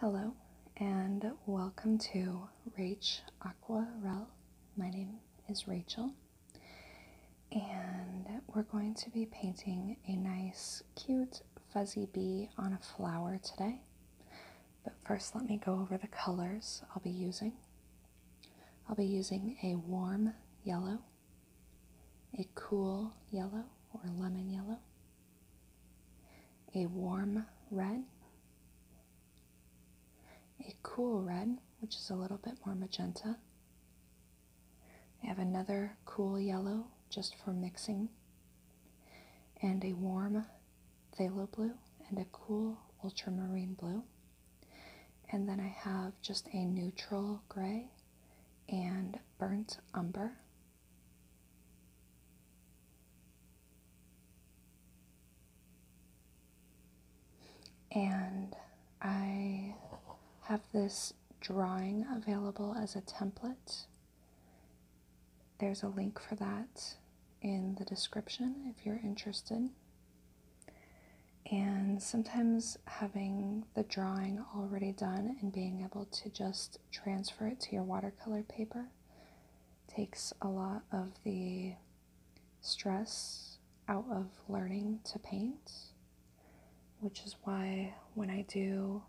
Hello and welcome to Rach Aqua Rel. My name is Rachel and we're going to be painting a nice cute fuzzy bee on a flower today. But first let me go over the colors I'll be using. I'll be using a warm yellow, a cool yellow or lemon yellow, a warm red, a cool red, which is a little bit more magenta. I have another cool yellow just for mixing, and a warm phthalo blue and a cool ultramarine blue. And then I have just a neutral gray and burnt umber. And I have this drawing available as a template. There's a link for that in the description if you're interested. And sometimes having the drawing already done and being able to just transfer it to your watercolor paper. Takes a lot of the stress out of learning to paint, which is why when I do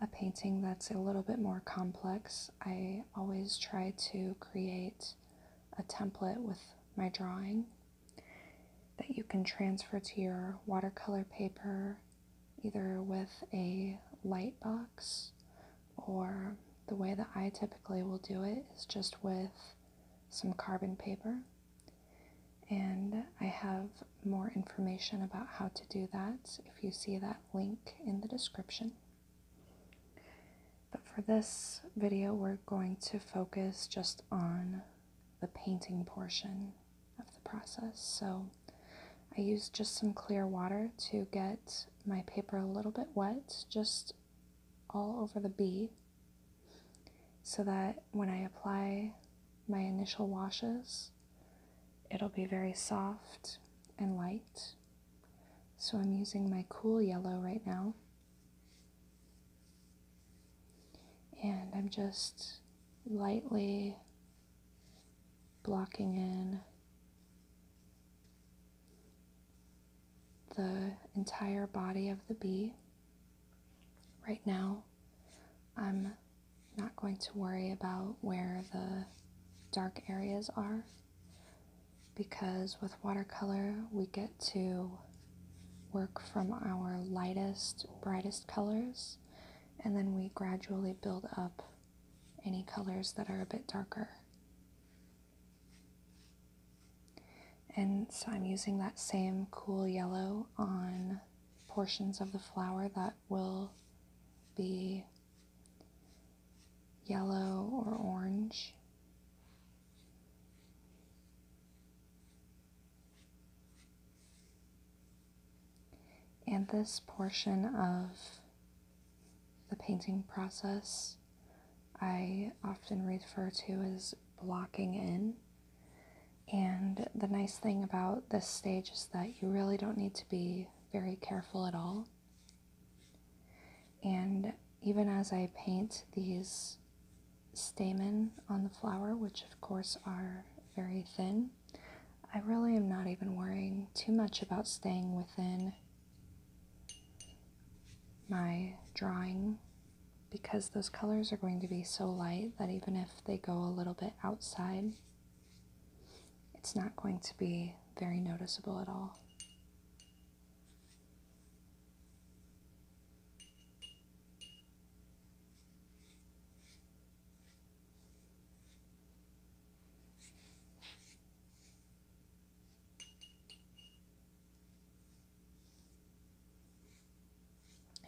a painting that's a little bit more complex, I always try to create a template with my drawing that you can transfer to your watercolor paper either with a light box or the way that I typically will do it is just with some carbon paper. And I have more information about how to do that if you see that link in the description. But for this video, we're going to focus just on the painting portion of the process. So I use just some clear water to get my paper a little bit wet, just all over the bee, so that when I apply my initial washes, it'll be very soft and light. So I'm using my cool yellow right now. And I'm just lightly blocking in the entire body of the bee. Right now, I'm not going to worry about where the dark areas are because with watercolor we get to work from our lightest, brightest colors and then we gradually build up any colors that are a bit darker. And so I'm using that same cool yellow on portions of the flower that will be yellow or orange. And this portion of the painting process I often refer to as blocking in. And the nice thing about this stage is that you really don't need to be very careful at all. And even as I paint these stamen on the flower, which of course are very thin, I really am not even worrying too much about staying within my drawing because those colors are going to be so light that even if they go a little bit outside, it's not going to be very noticeable at all.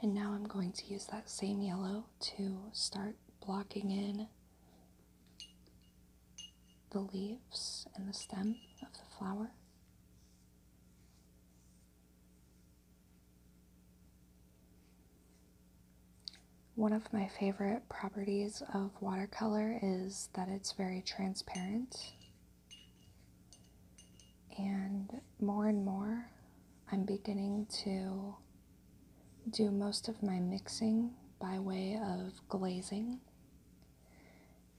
And now I'm going to use that same yellow to start blocking in the leaves and the stem of the flower. One of my favorite properties of watercolor is that it's very transparent. And more and more, I'm beginning to do most of my mixing by way of glazing.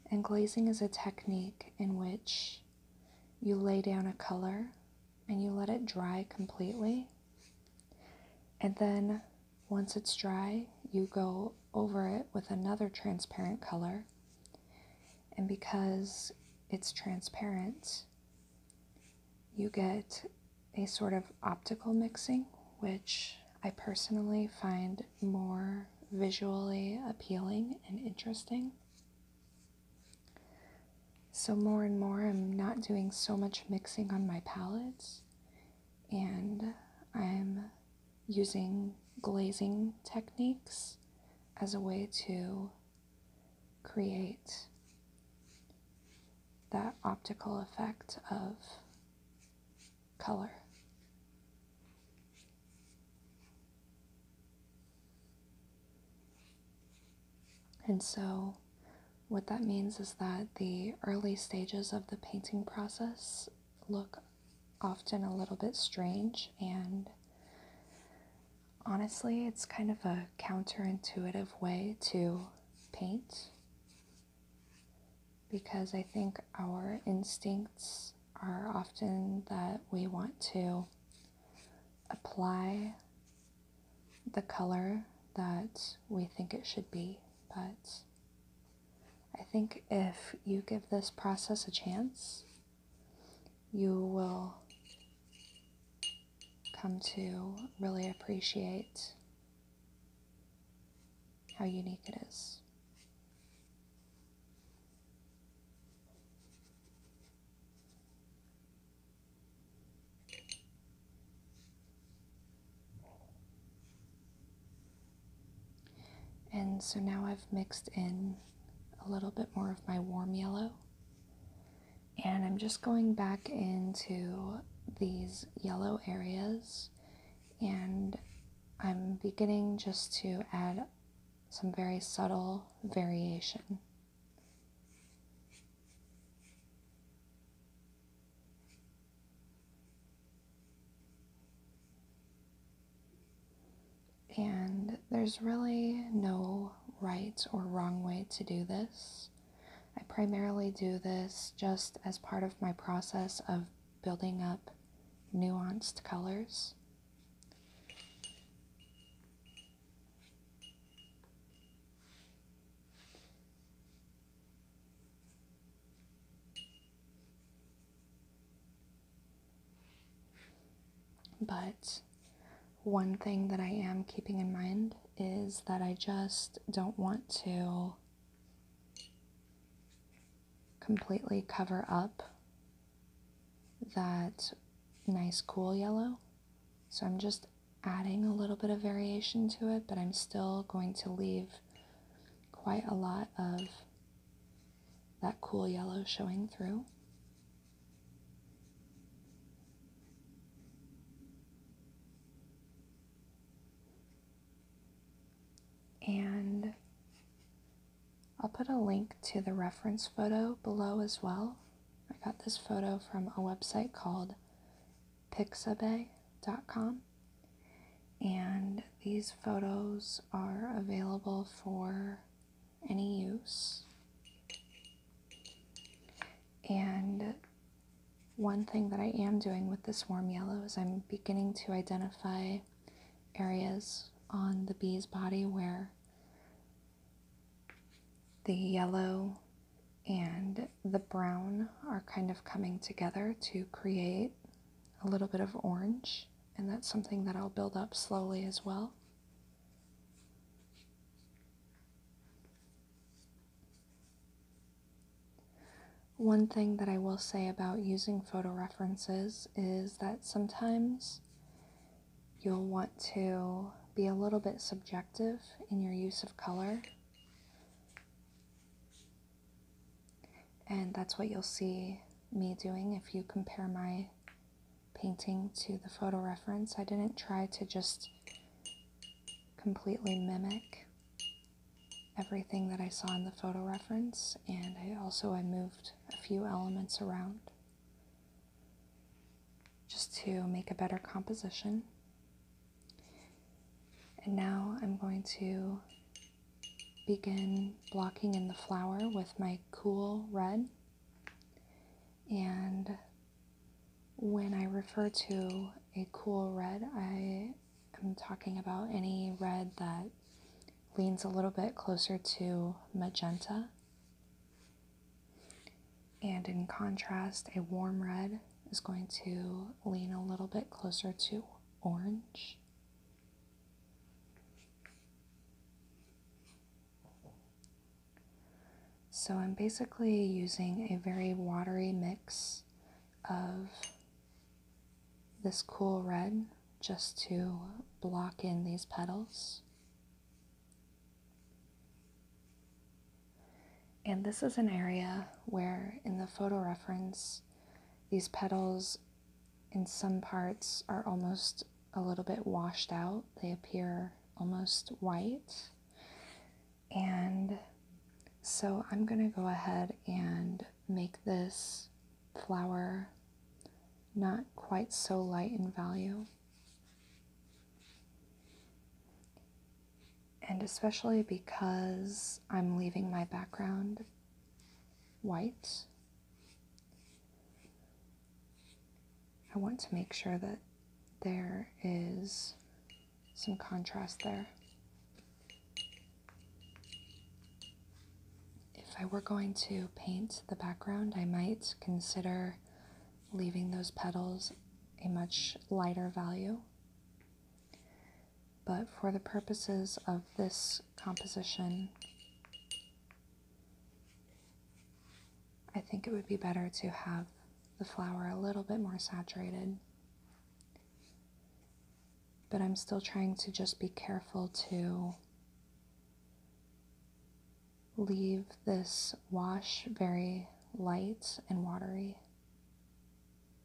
And glazing is a technique in which you lay down a color and you let it dry completely and then once it's dry, you go over it with another transparent color. And because it's transparent, you get a sort of optical mixing, which I personally find more visually appealing and interesting. So, more and more, I'm not doing so much mixing on my palettes and I'm using glazing techniques as a way to create that optical effect of color. And so what that means is that the early stages of the painting process look often a little bit strange, and honestly, it's kind of a counterintuitive way to paint because I think our instincts are often that we want to apply the color that we think it should be, but I think if you give this process a chance, you will come to really appreciate how unique it is. And so now I've mixed in a little bit more of my warm yellow. And I'm just going back into these yellow areas and I'm beginning just to add some very subtle variation. And there's really no right or wrong way to do this. I primarily do this just as part of my process of building up nuanced colors. But one thing that I am keeping in mind is that I just don't want to completely cover up that nice cool yellow. So I'm just adding a little bit of variation to it, but I'm still going to leave quite a lot of that cool yellow showing through. And I'll put a link to the reference photo below as well. I got this photo from a website called pixabay.com. And these photos are available for any use. And one thing that I am doing with this warm yellow is I'm beginning to identify areas on the bee's body where the yellow and the brown are kind of coming together to create a little bit of orange and that's something that I'll build up slowly as well. One thing that I will say about using photo references is that sometimes you'll want to be a little bit subjective in your use of color. And that's what you'll see me doing if you compare my painting to the photo reference. I didn't try to just completely mimic everything that I saw in the photo reference and I also I moved a few elements around just to make a better composition. And now I'm going to begin blocking in the flower with my cool red. And when I refer to a cool red, I am talking about any red that leans a little bit closer to magenta. And in contrast, a warm red is going to lean a little bit closer to orange. So I'm basically using a very watery mix of this cool red just to block in these petals. And this is an area where, in the photo reference, these petals in some parts are almost a little bit washed out. They appear almost white. And so I'm going to go ahead and make this flower not quite so light in value. And especially because I'm leaving my background white, I want to make sure that there is some contrast there. If I were going to paint the background, I might consider leaving those petals a much lighter value but for the purposes of this composition, I think it would be better to have the flower a little bit more saturated. But I'm still trying to just be careful to leave this wash very light and watery.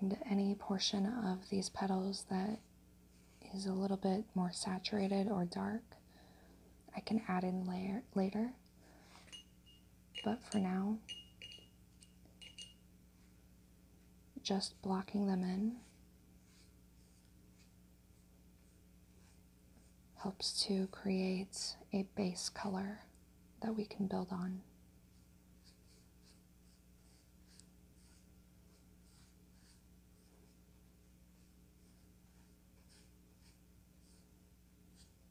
And any portion of these petals that is a little bit more saturated or dark, I can add in layer later. But for now, just blocking them in helps to create a base color that we can build on.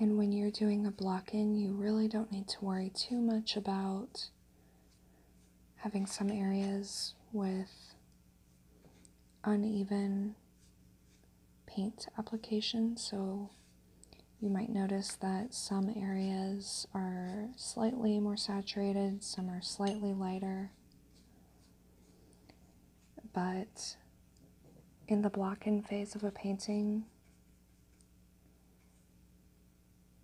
And when you're doing a block in, you really don't need to worry too much about having some areas with uneven paint application, so you might notice that some areas are slightly more saturated, some are slightly lighter. But in the block in phase of a painting,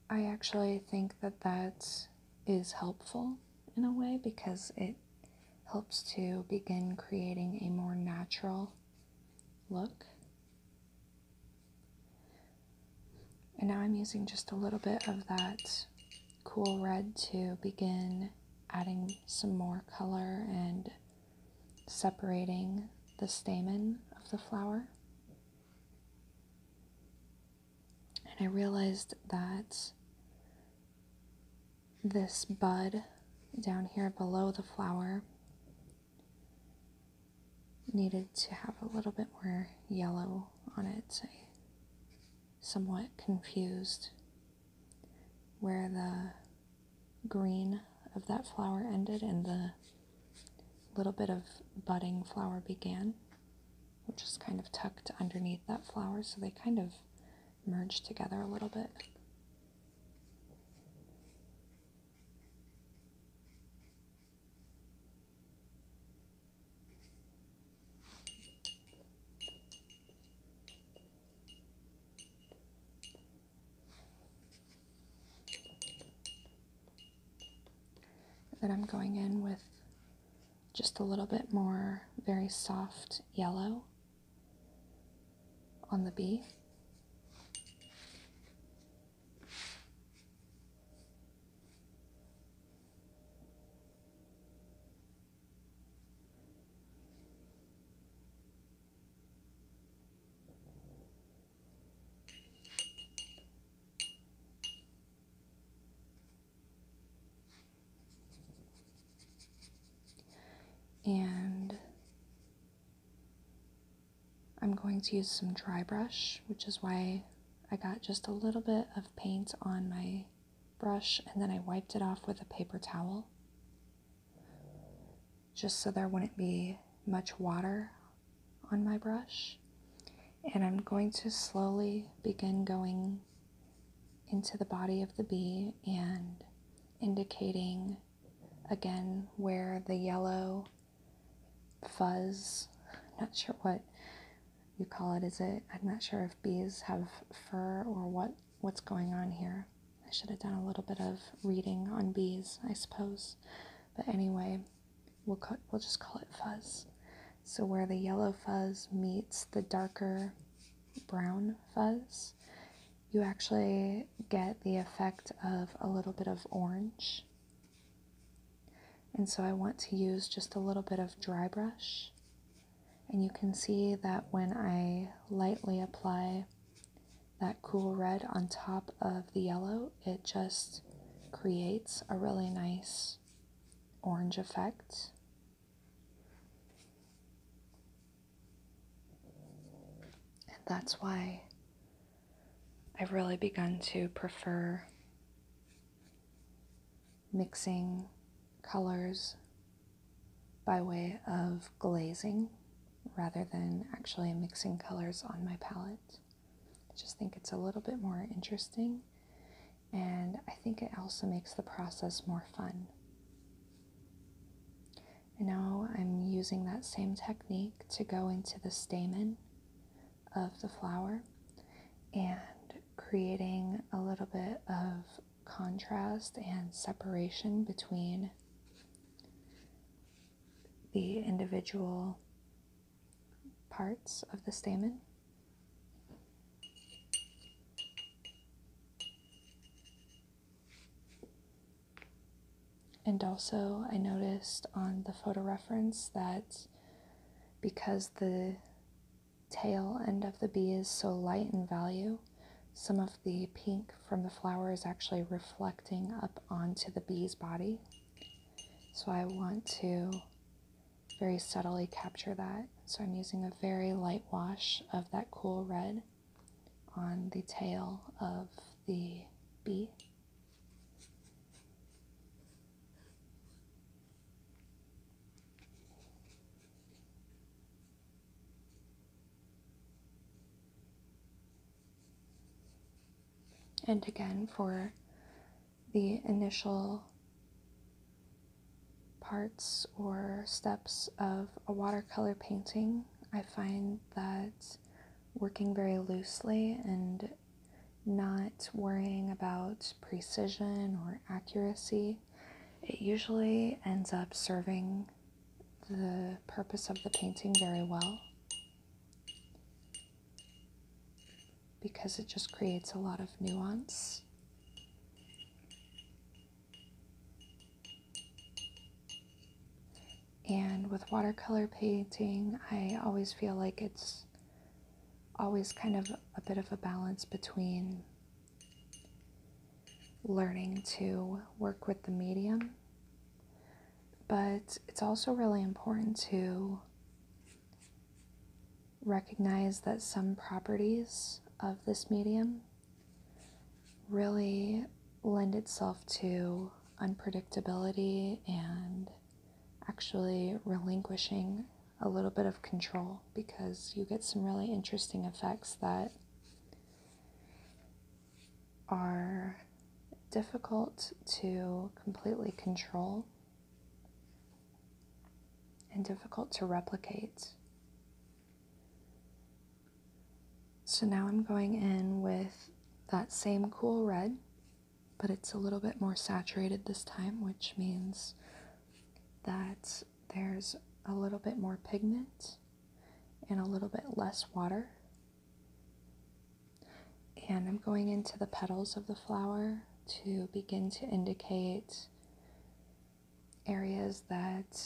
I actually think that that is helpful in a way because it helps to begin creating a more natural look. And now I'm using just a little bit of that cool red to begin adding some more color and separating the stamen of the flower. And I realized that this bud down here below the flower needed to have a little bit more yellow on it. So, somewhat confused where the green of that flower ended and the a little bit of budding flower began, which is kind of tucked underneath that flower, so they kind of merge together a little bit. Then I'm going in with just a little bit more very soft yellow on the B. And I'm going to use some dry brush, which is why I got just a little bit of paint on my brush and then I wiped it off with a paper towel just so there wouldn't be much water on my brush and I'm going to slowly begin going into the body of the bee and indicating again where the yellow fuzz, I'm not sure what you call it, is it? I'm not sure if bees have fur or what, what's going on here. I should have done a little bit of reading on bees, I suppose. But anyway, we'll, call, we'll just call it fuzz. So where the yellow fuzz meets the darker brown fuzz, you actually get the effect of a little bit of orange. And so I want to use just a little bit of dry brush. And you can see that when I lightly apply that cool red on top of the yellow, it just creates a really nice orange effect. And that's why I've really begun to prefer mixing colors by way of glazing rather than actually mixing colors on my palette. I just think it's a little bit more interesting and I think it also makes the process more fun. now I'm using that same technique to go into the stamen of the flower and creating a little bit of contrast and separation between the individual parts of the stamen. And also, I noticed on the photo reference that because the tail end of the bee is so light in value, some of the pink from the flower is actually reflecting up onto the bee's body. So I want to very subtly capture that. So I'm using a very light wash of that cool red on the tail of the bee. And again, for the initial parts or steps of a watercolor painting, I find that working very loosely and not worrying about precision or accuracy, it usually ends up serving the purpose of the painting very well because it just creates a lot of nuance. And with watercolor painting, I always feel like it's always kind of a bit of a balance between learning to work with the medium, but it's also really important to recognize that some properties of this medium really lend itself to unpredictability and actually relinquishing a little bit of control because you get some really interesting effects that are difficult to completely control and difficult to replicate. So now I'm going in with that same cool red, but it's a little bit more saturated this time, which means that there's a little bit more pigment and a little bit less water. And I'm going into the petals of the flower to begin to indicate areas that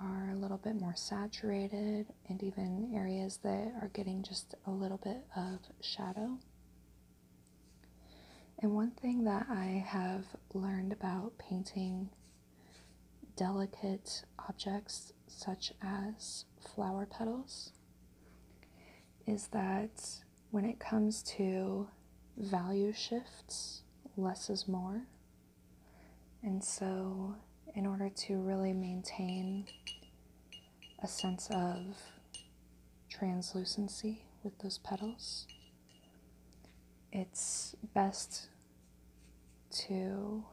are a little bit more saturated and even areas that are getting just a little bit of shadow. And one thing that I have learned about painting delicate objects such as flower petals is that when it comes to value shifts, less is more. And so, in order to really maintain a sense of translucency with those petals, it's best to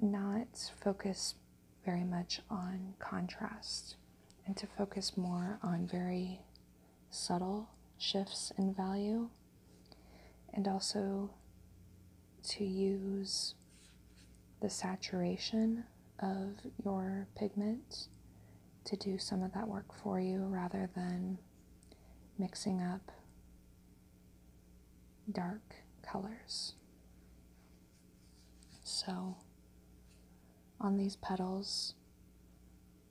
not focus very much on contrast and to focus more on very subtle shifts in value and also to use the saturation of your pigment to do some of that work for you rather than mixing up dark colors. So, on these petals,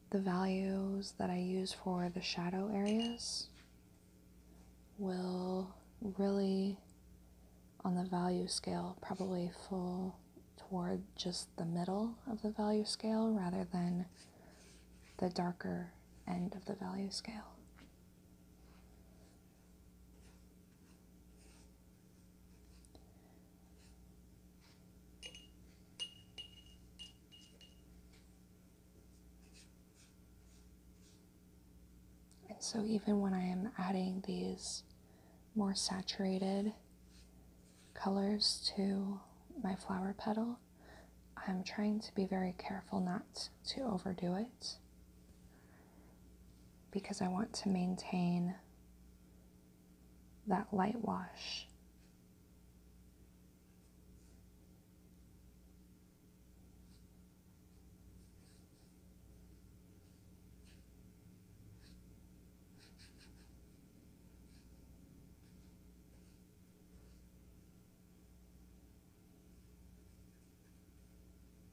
the values that I use for the shadow areas will really, on the value scale, probably fall toward just the middle of the value scale rather than the darker end of the value scale. And so, even when I am adding these more saturated colors to my flower petal, I'm trying to be very careful not to overdo it because I want to maintain that light wash.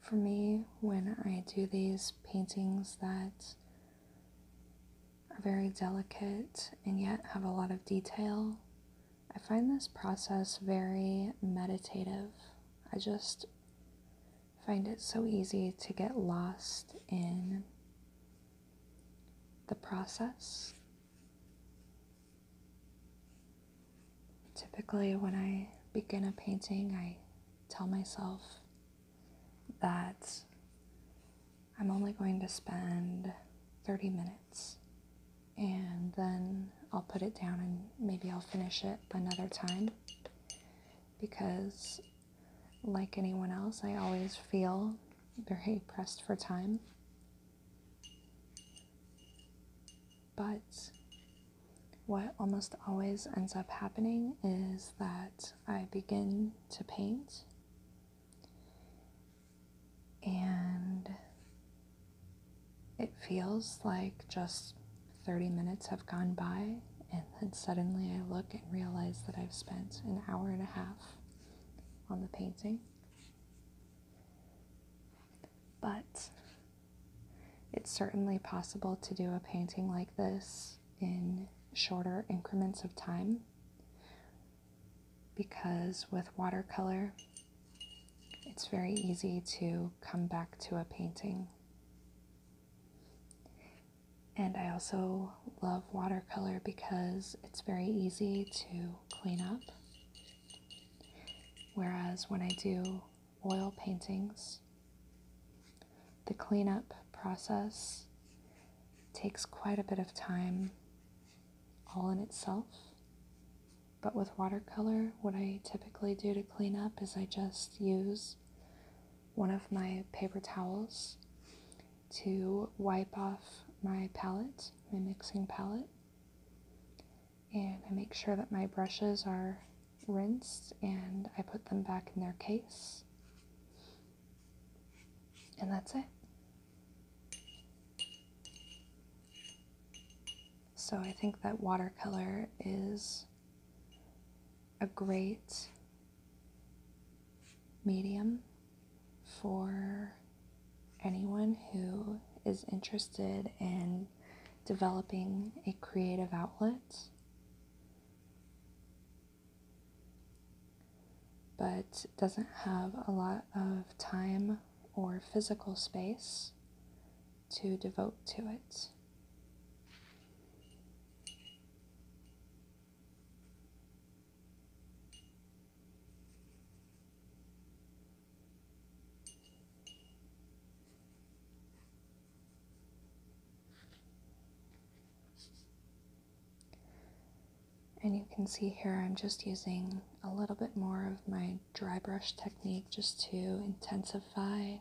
For me, when I do these paintings that are very delicate and yet have a lot of detail, I find this process very meditative. I just find it so easy to get lost in the process. Typically, when I begin a painting, I tell myself that I'm only going to spend 30 minutes and then I'll put it down and maybe I'll finish it another time because like anyone else, I always feel very pressed for time. But what almost always ends up happening is that I begin to paint and it feels like just 30 minutes have gone by and then suddenly I look and realize that I've spent an hour and a half on the painting. But it's certainly possible to do a painting like this in shorter increments of time because with watercolor, it's very easy to come back to a painting and I also love watercolor because it's very easy to clean up. Whereas when I do oil paintings, the cleanup process takes quite a bit of time all in itself. But with watercolor, what I typically do to clean up is I just use one of my paper towels to wipe off my palette, my mixing palette. And I make sure that my brushes are rinsed and I put them back in their case. And that's it. So I think that watercolor is a great medium for anyone who is interested in developing a creative outlet. But doesn't have a lot of time or physical space to devote to it. And you can see here I'm just using a little bit more of my dry brush technique just to intensify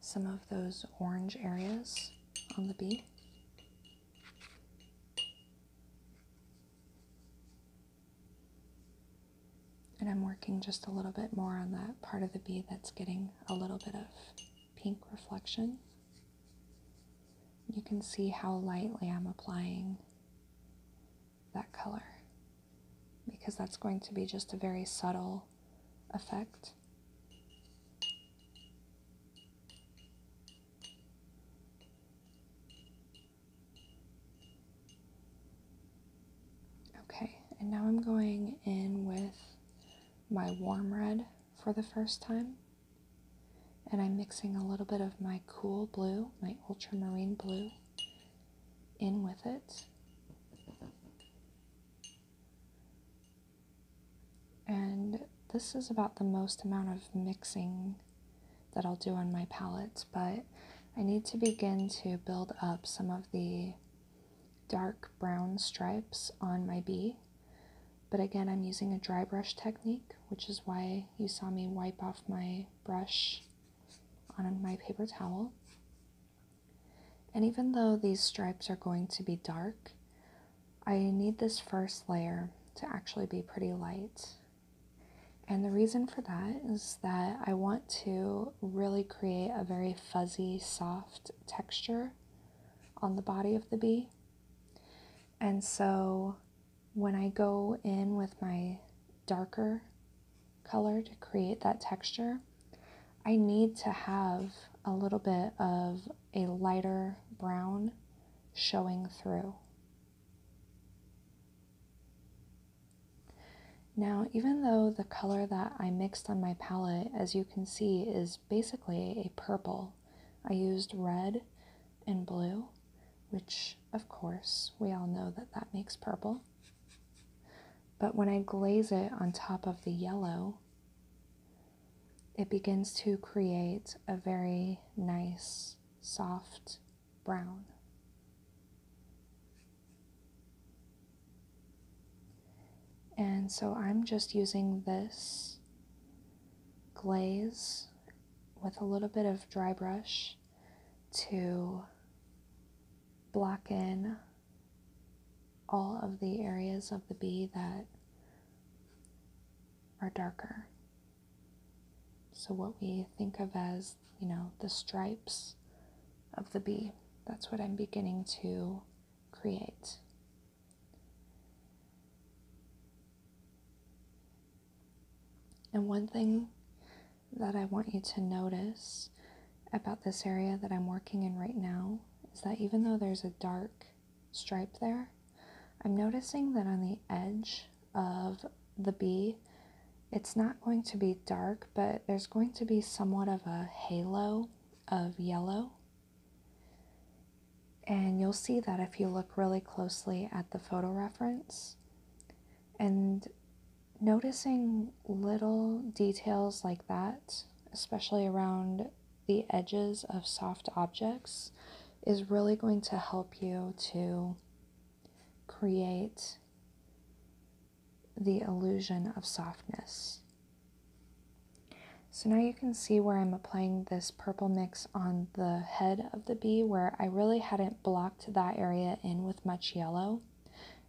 some of those orange areas on the bee. And I'm working just a little bit more on that part of the bee that's getting a little bit of pink reflection. You can see how lightly I'm applying that color because that's going to be just a very subtle effect. Okay, and now I'm going in with my warm red for the first time. And I'm mixing a little bit of my cool blue, my ultramarine blue, in with it. And this is about the most amount of mixing that I'll do on my palette, but I need to begin to build up some of the dark brown stripes on my bee. But again, I'm using a dry brush technique, which is why you saw me wipe off my brush on my paper towel. And even though these stripes are going to be dark, I need this first layer to actually be pretty light. And the reason for that is that I want to really create a very fuzzy, soft texture on the body of the bee. And so when I go in with my darker color to create that texture, I need to have a little bit of a lighter brown showing through. Now, even though the color that I mixed on my palette, as you can see, is basically a purple, I used red and blue, which, of course, we all know that that makes purple. But when I glaze it on top of the yellow, it begins to create a very nice, soft brown. And so I'm just using this glaze with a little bit of dry brush to block in all of the areas of the bee that are darker. So, what we think of as, you know, the stripes of the bee, that's what I'm beginning to create. And one thing that I want you to notice about this area that I'm working in right now is that even though there's a dark stripe there, I'm noticing that on the edge of the bee, it's not going to be dark, but there's going to be somewhat of a halo of yellow. And you'll see that if you look really closely at the photo reference. And noticing little details like that, especially around the edges of soft objects is really going to help you to create the illusion of softness. So now you can see where I'm applying this purple mix on the head of the bee where I really hadn't blocked that area in with much yellow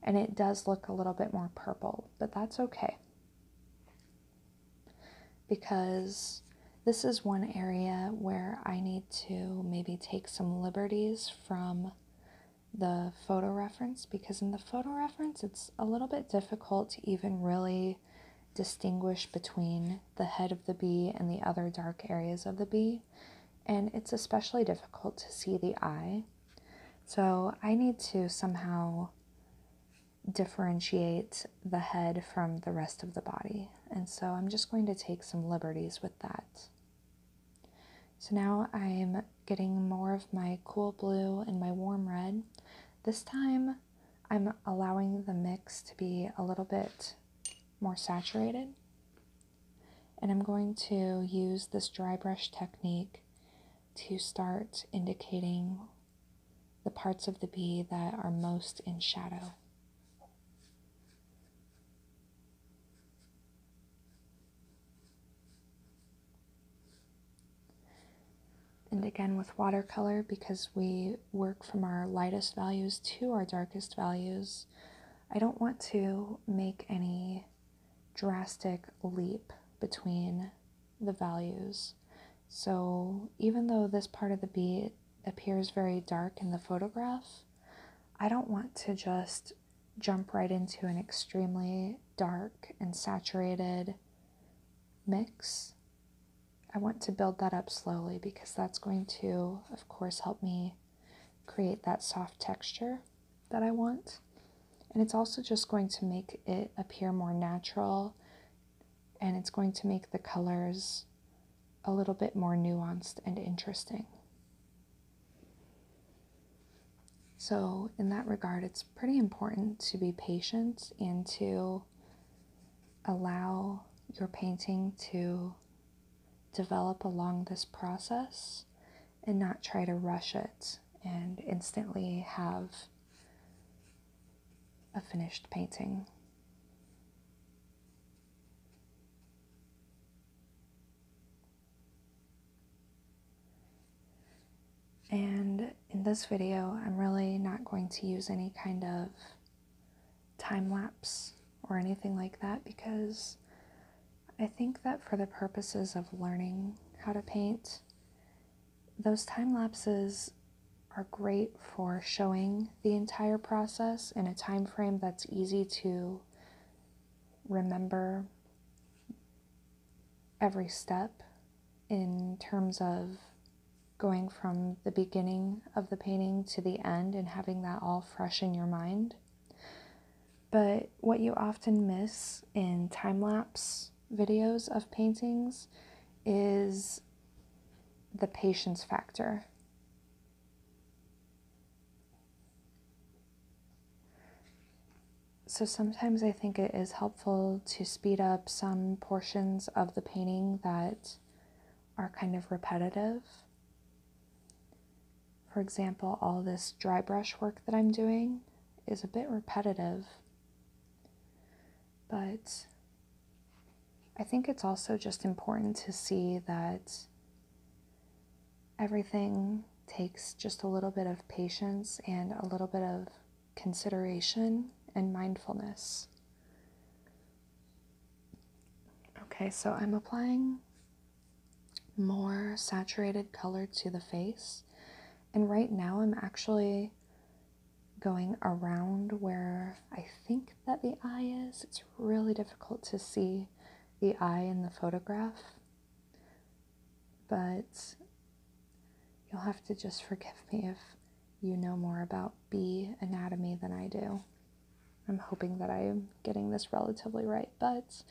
and it does look a little bit more purple, but that's okay because this is one area where I need to maybe take some liberties from the photo reference because in the photo reference it's a little bit difficult to even really distinguish between the head of the bee and the other dark areas of the bee and it's especially difficult to see the eye so I need to somehow differentiate the head from the rest of the body. And so I'm just going to take some liberties with that. So now I'm getting more of my cool blue and my warm red. This time I'm allowing the mix to be a little bit more saturated. And I'm going to use this dry brush technique to start indicating the parts of the bee that are most in shadow. And again with watercolor, because we work from our lightest values to our darkest values, I don't want to make any drastic leap between the values so even though this part of the bead appears very dark in the photograph, I don't want to just jump right into an extremely dark and saturated mix. I want to build that up slowly because that's going to, of course, help me create that soft texture that I want. And it's also just going to make it appear more natural and it's going to make the colors a little bit more nuanced and interesting. So, in that regard, it's pretty important to be patient and to allow your painting to develop along this process and not try to rush it and instantly have a finished painting. And in this video, I'm really not going to use any kind of time lapse or anything like that because I think that for the purposes of learning how to paint, those time lapses are great for showing the entire process in a time frame that's easy to remember every step in terms of going from the beginning of the painting to the end and having that all fresh in your mind. But what you often miss in time lapse videos of paintings is the patience factor. So sometimes I think it is helpful to speed up some portions of the painting that are kind of repetitive. For example, all this dry brush work that I'm doing is a bit repetitive, but I think it's also just important to see that everything takes just a little bit of patience and a little bit of consideration and mindfulness. Okay, so I'm applying more saturated color to the face, and right now I'm actually going around where I think that the eye is. It's really difficult to see the eye in the photograph, but you'll have to just forgive me if you know more about bee anatomy than I do. I'm hoping that I am getting this relatively right, but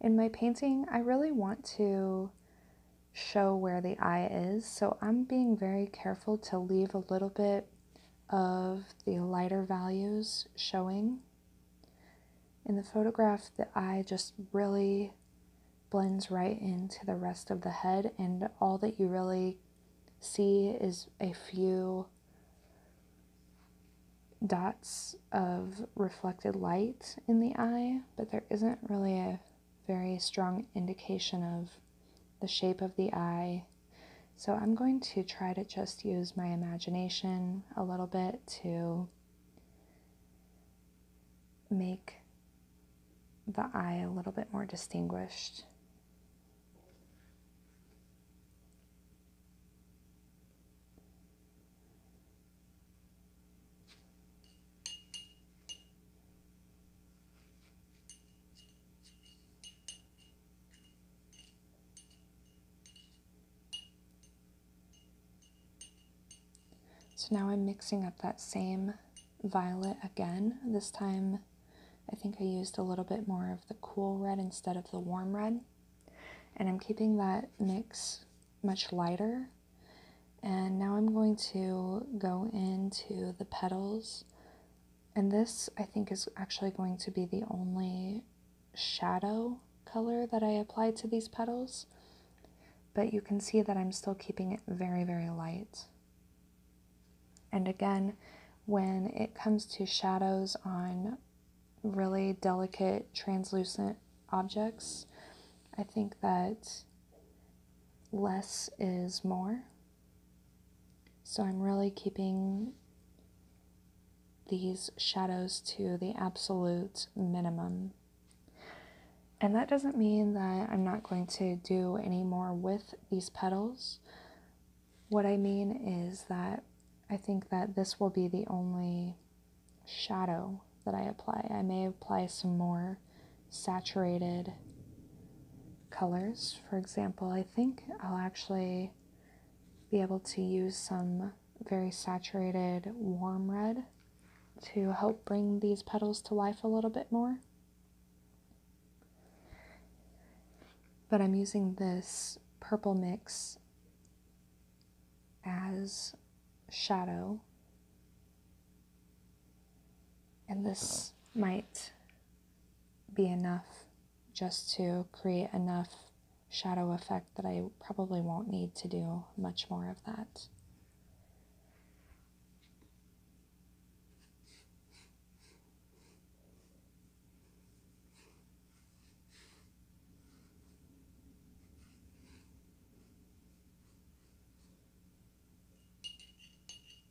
in my painting, I really want to show where the eye is, so I'm being very careful to leave a little bit of the lighter values showing. In the photograph, the eye just really blends right into the rest of the head, and all that you really see is a few dots of reflected light in the eye, but there isn't really a very strong indication of the shape of the eye so I'm going to try to just use my imagination a little bit to make the eye a little bit more distinguished. So now I'm mixing up that same violet again. This time I think I used a little bit more of the cool red instead of the warm red. And I'm keeping that mix much lighter. And now I'm going to go into the petals and this, I think, is actually going to be the only shadow color that I applied to these petals. But you can see that I'm still keeping it very, very light. And again, when it comes to shadows on really delicate, translucent objects, I think that less is more. So I'm really keeping these shadows to the absolute minimum. And that doesn't mean that I'm not going to do any more with these petals. What I mean is that I think that this will be the only shadow that I apply. I may apply some more saturated colors. For example, I think I'll actually be able to use some very saturated warm red to help bring these petals to life a little bit more. But I'm using this purple mix as shadow. And this might be enough just to create enough shadow effect that I probably won't need to do much more of that.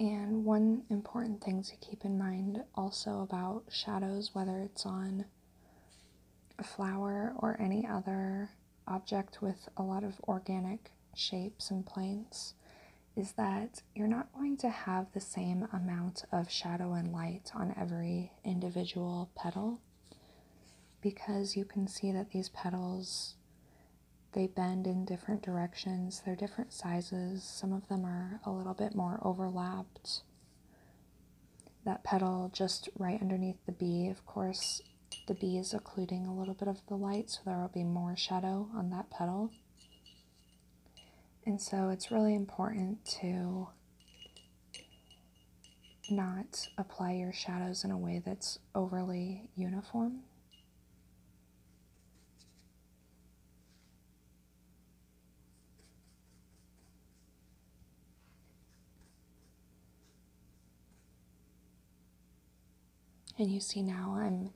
And one important thing to keep in mind also about shadows, whether it's on a flower or any other object with a lot of organic shapes and planes is that you're not going to have the same amount of shadow and light on every individual petal because you can see that these petals they bend in different directions they're different sizes some of them are a little bit more overlapped that petal just right underneath the bee of course the bee is occluding a little bit of the light, so there will be more shadow on that petal. And so it's really important to not apply your shadows in a way that's overly uniform. And you see now I'm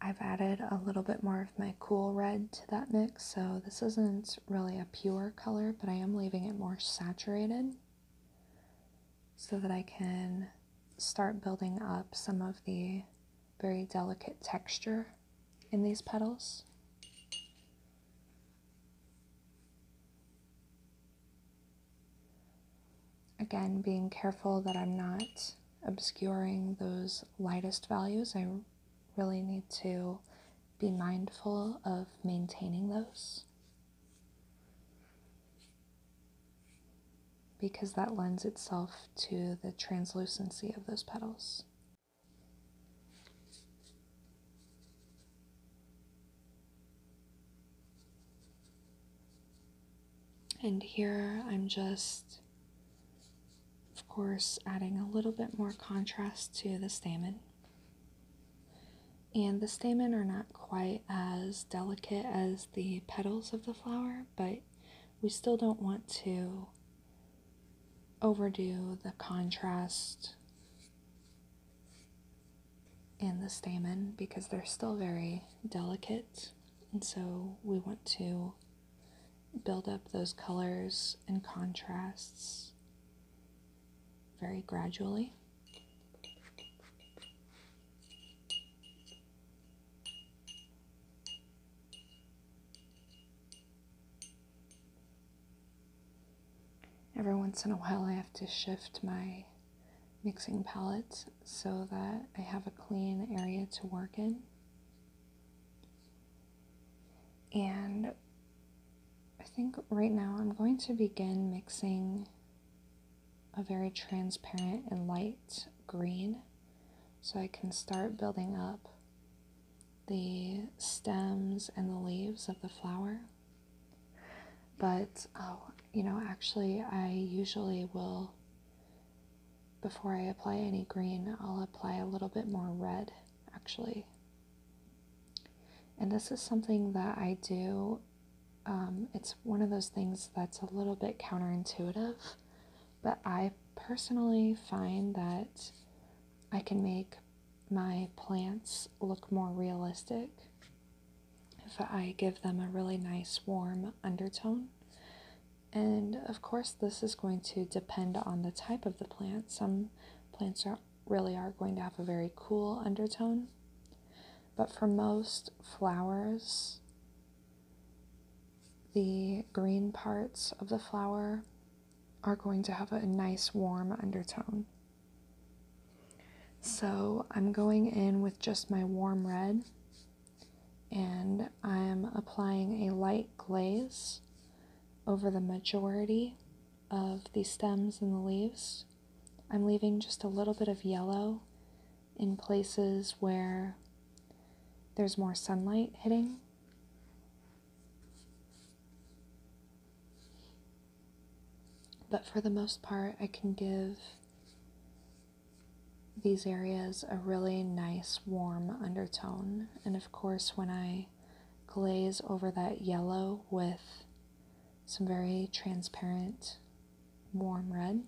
I've added a little bit more of my cool red to that mix, so this isn't really a pure color, but I am leaving it more saturated so that I can start building up some of the very delicate texture in these petals. Again, being careful that I'm not obscuring those lightest values. I really need to be mindful of maintaining those because that lends itself to the translucency of those petals. And here I'm just, of course, adding a little bit more contrast to the stamen. And the stamen are not quite as delicate as the petals of the flower, but we still don't want to overdo the contrast and the stamen because they're still very delicate. And so we want to build up those colors and contrasts very gradually. Every once in a while, I have to shift my mixing palettes so that I have a clean area to work in. And I think right now I'm going to begin mixing a very transparent and light green so I can start building up the stems and the leaves of the flower. But oh, you know, actually, I usually will, before I apply any green, I'll apply a little bit more red, actually. And this is something that I do. Um, it's one of those things that's a little bit counterintuitive, but I personally find that I can make my plants look more realistic if I give them a really nice warm undertone. And of course, this is going to depend on the type of the plant. Some plants really are going to have a very cool undertone, but for most flowers, the green parts of the flower are going to have a nice warm undertone. So I'm going in with just my warm red and I'm applying a light glaze over the majority of the stems and the leaves. I'm leaving just a little bit of yellow in places where there's more sunlight hitting. But for the most part, I can give these areas a really nice warm undertone. And of course, when I glaze over that yellow with some very transparent warm red,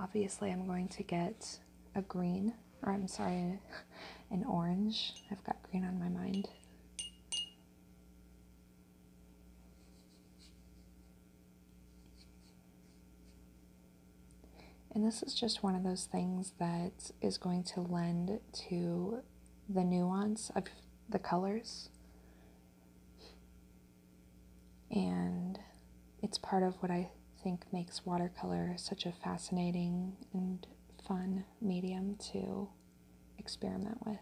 obviously I'm going to get a green, or I'm sorry, an orange. I've got green on my mind. And this is just one of those things that is going to lend to the nuance of the colors. And it's part of what I think makes watercolor such a fascinating and fun medium to experiment with.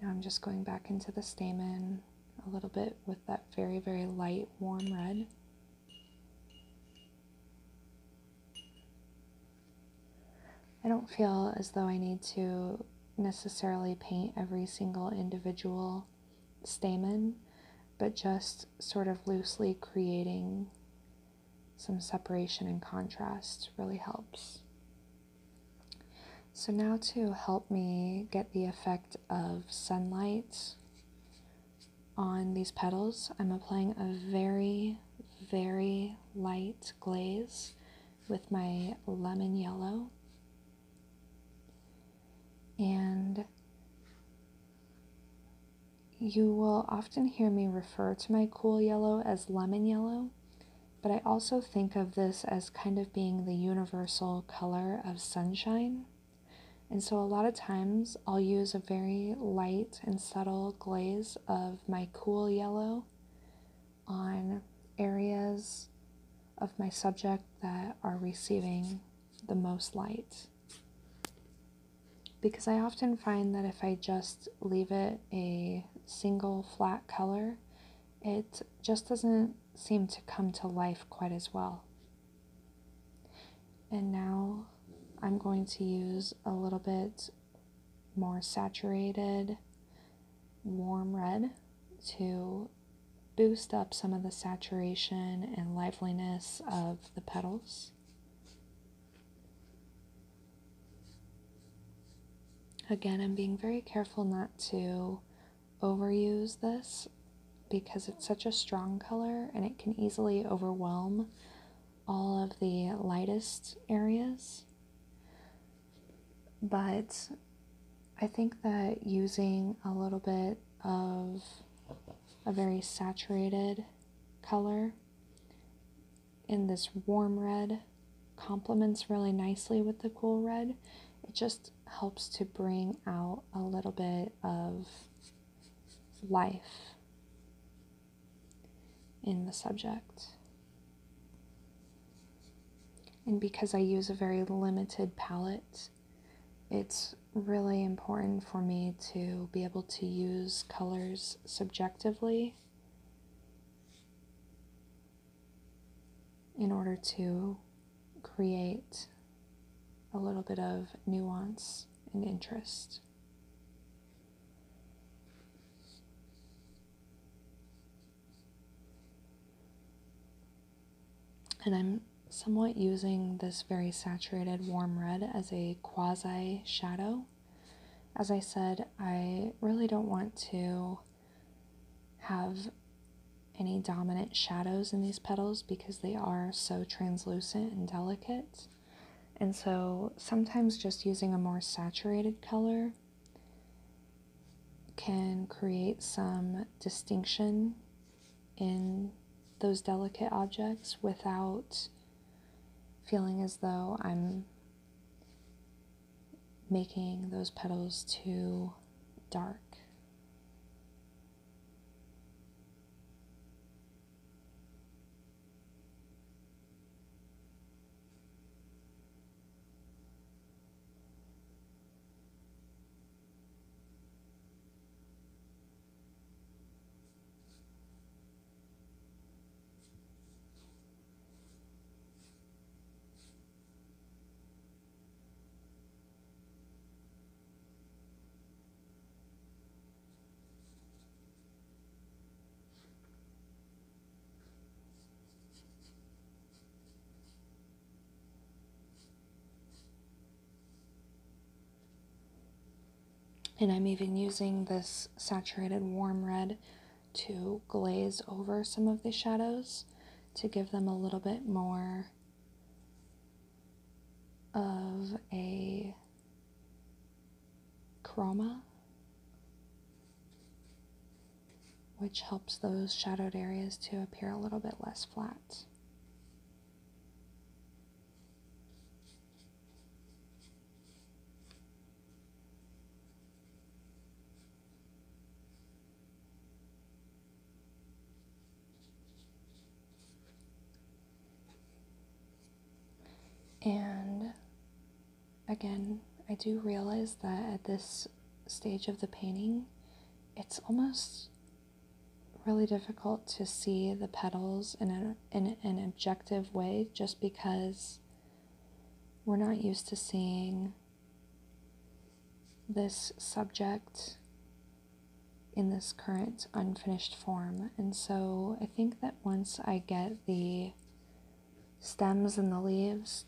Now I'm just going back into the stamen a little bit with that very, very light warm red. I don't feel as though I need to necessarily paint every single individual stamen, but just sort of loosely creating some separation and contrast really helps. So now to help me get the effect of sunlight on these petals, I'm applying a very, very light glaze with my lemon yellow. And you will often hear me refer to my cool yellow as lemon yellow. But I also think of this as kind of being the universal color of sunshine. And so, a lot of times, I'll use a very light and subtle glaze of my cool yellow on areas of my subject that are receiving the most light. Because I often find that if I just leave it a single flat color, it just doesn't seem to come to life quite as well. And now I'm going to use a little bit more saturated warm red to boost up some of the saturation and liveliness of the petals. Again, I'm being very careful not to overuse this because it's such a strong color and it can easily overwhelm all of the lightest areas. But I think that using a little bit of a very saturated color in this warm red complements really nicely with the cool red. It just helps to bring out a little bit of life in the subject. And because I use a very limited palette, it's really important for me to be able to use colors subjectively in order to create a little bit of nuance and interest. And I'm somewhat using this very saturated warm red as a quasi shadow. As I said, I really don't want to have any dominant shadows in these petals because they are so translucent and delicate. And so sometimes just using a more saturated color can create some distinction in those delicate objects without feeling as though I'm making those petals too dark. And I'm even using this saturated warm red to glaze over some of the shadows to give them a little bit more of a chroma, which helps those shadowed areas to appear a little bit less flat. And again, I do realize that at this stage of the painting, it's almost really difficult to see the petals in, a, in an objective way just because we're not used to seeing this subject in this current unfinished form. And so I think that once I get the stems and the leaves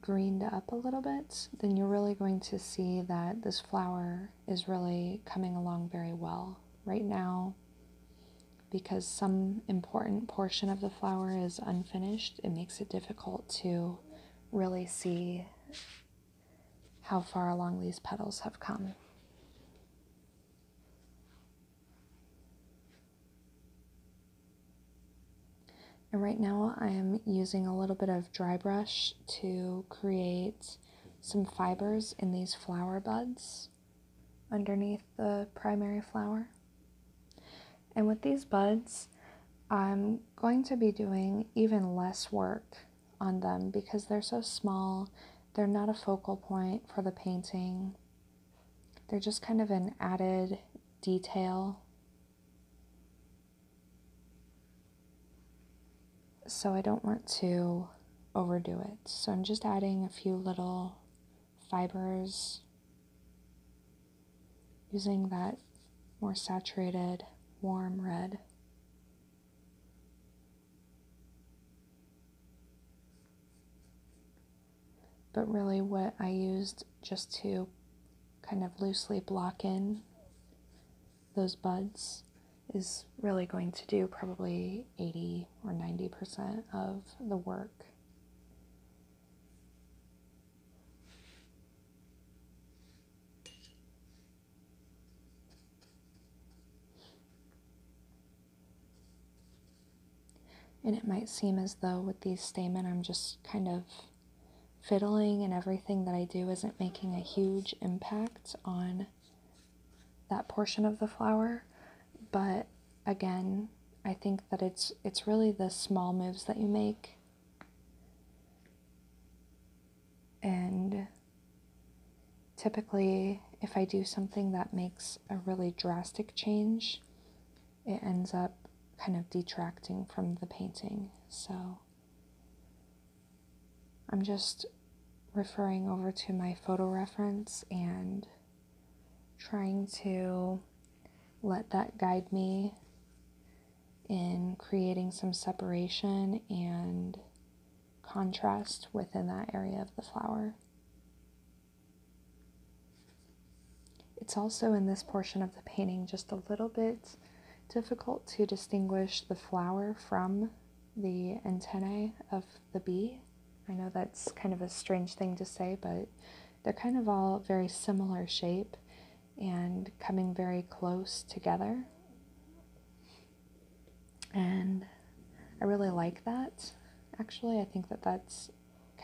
greened up a little bit, then you're really going to see that this flower is really coming along very well right now. Because some important portion of the flower is unfinished, it makes it difficult to really see how far along these petals have come. And right now I'm using a little bit of dry brush to create some fibers in these flower buds underneath the primary flower. And with these buds, I'm going to be doing even less work on them because they're so small. They're not a focal point for the painting. They're just kind of an added detail. So I don't want to overdo it. So I'm just adding a few little fibers using that more saturated, warm red. But really, what I used just to kind of loosely block in those buds is really going to do probably 80 or 90% of the work. And it might seem as though with these stamen I'm just kind of fiddling and everything that I do isn't making a huge impact on that portion of the flower, but again, I think that it's it's really the small moves that you make and typically, if I do something that makes a really drastic change, it ends up kind of detracting from the painting. So I'm just referring over to my photo reference and trying to let that guide me in creating some separation and contrast within that area of the flower. It's also in this portion of the painting just a little bit difficult to distinguish the flower from the antennae of the bee. I know that's kind of a strange thing to say, but they're kind of all very similar shape and coming very close together. And I really like that. Actually, I think that that's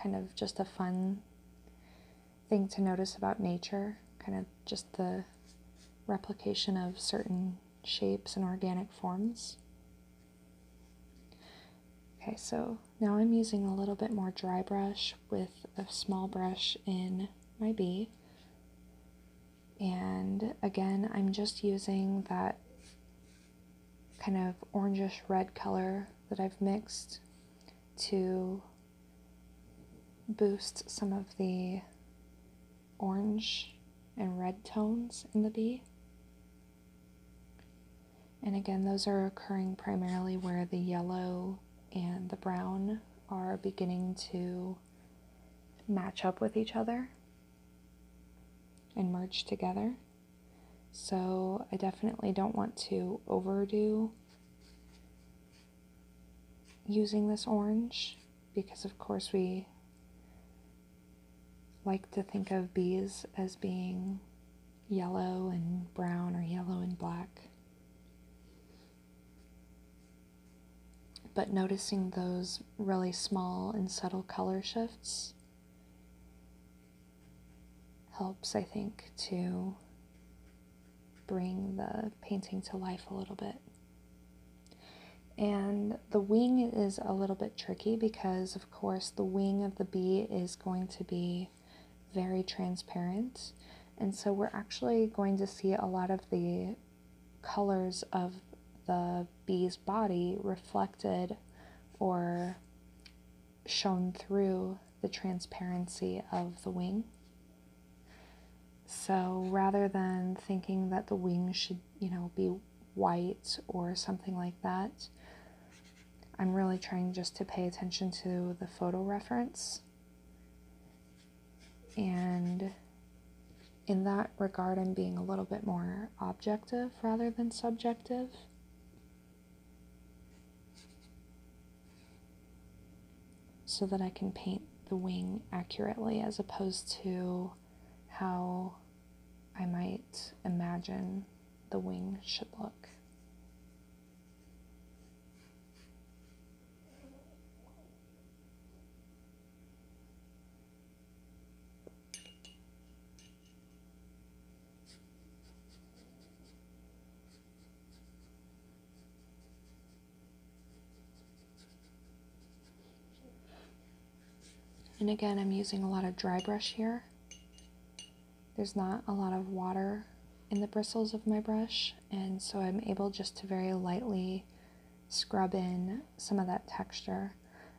kind of just a fun thing to notice about nature, kind of just the replication of certain shapes and organic forms. Okay, so now I'm using a little bit more dry brush with a small brush in my bee, And again, I'm just using that kind of orangish red color that I've mixed to boost some of the orange and red tones in the bee. And again, those are occurring primarily where the yellow and the brown are beginning to match up with each other and merge together. So I definitely don't want to overdo using this orange because, of course, we like to think of bees as being yellow and brown or yellow and black but noticing those really small and subtle color shifts helps, I think, to bring the painting to life a little bit. And the wing is a little bit tricky because, of course, the wing of the bee is going to be very transparent. And so we're actually going to see a lot of the colors of the bee's body reflected or shown through the transparency of the wing. So rather than thinking that the wings should, you know, be white or something like that, I'm really trying just to pay attention to the photo reference and in that regard, I'm being a little bit more objective rather than subjective. So that I can paint the wing accurately as opposed to how I might imagine the wing should look. And again, I'm using a lot of dry brush here. There's not a lot of water in the bristles of my brush, and so I'm able just to very lightly scrub in some of that texture.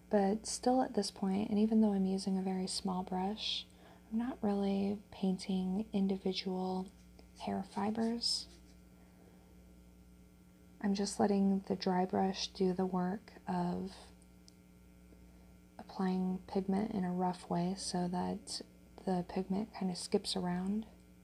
But still, at this point, and even though I'm using a very small brush, I'm not really painting individual hair fibers. I'm just letting the dry brush do the work of applying pigment in a rough way so that the pigment kind of skips around.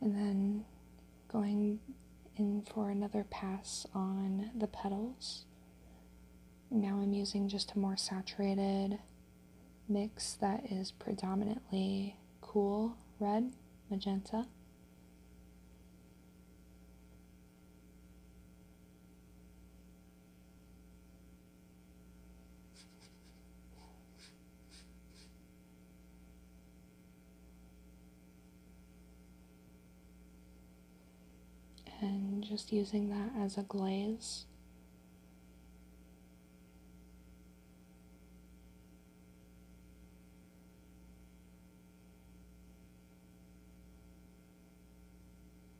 And then going in for another pass on the petals. Now I'm using just a more saturated mix that is predominantly cool red, magenta. And just using that as a glaze.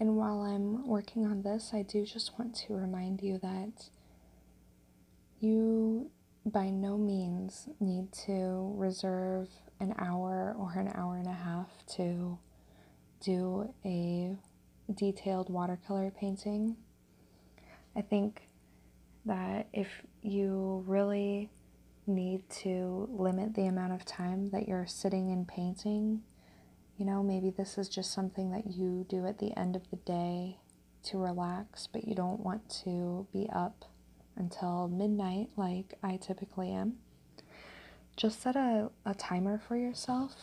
And while I'm working on this, I do just want to remind you that you by no means need to reserve an hour or an hour and a half to do a detailed watercolor painting. I think that if you really need to limit the amount of time that you're sitting and painting, you know, maybe this is just something that you do at the end of the day to relax, but you don't want to be up until midnight like I typically am, just set a, a timer for yourself.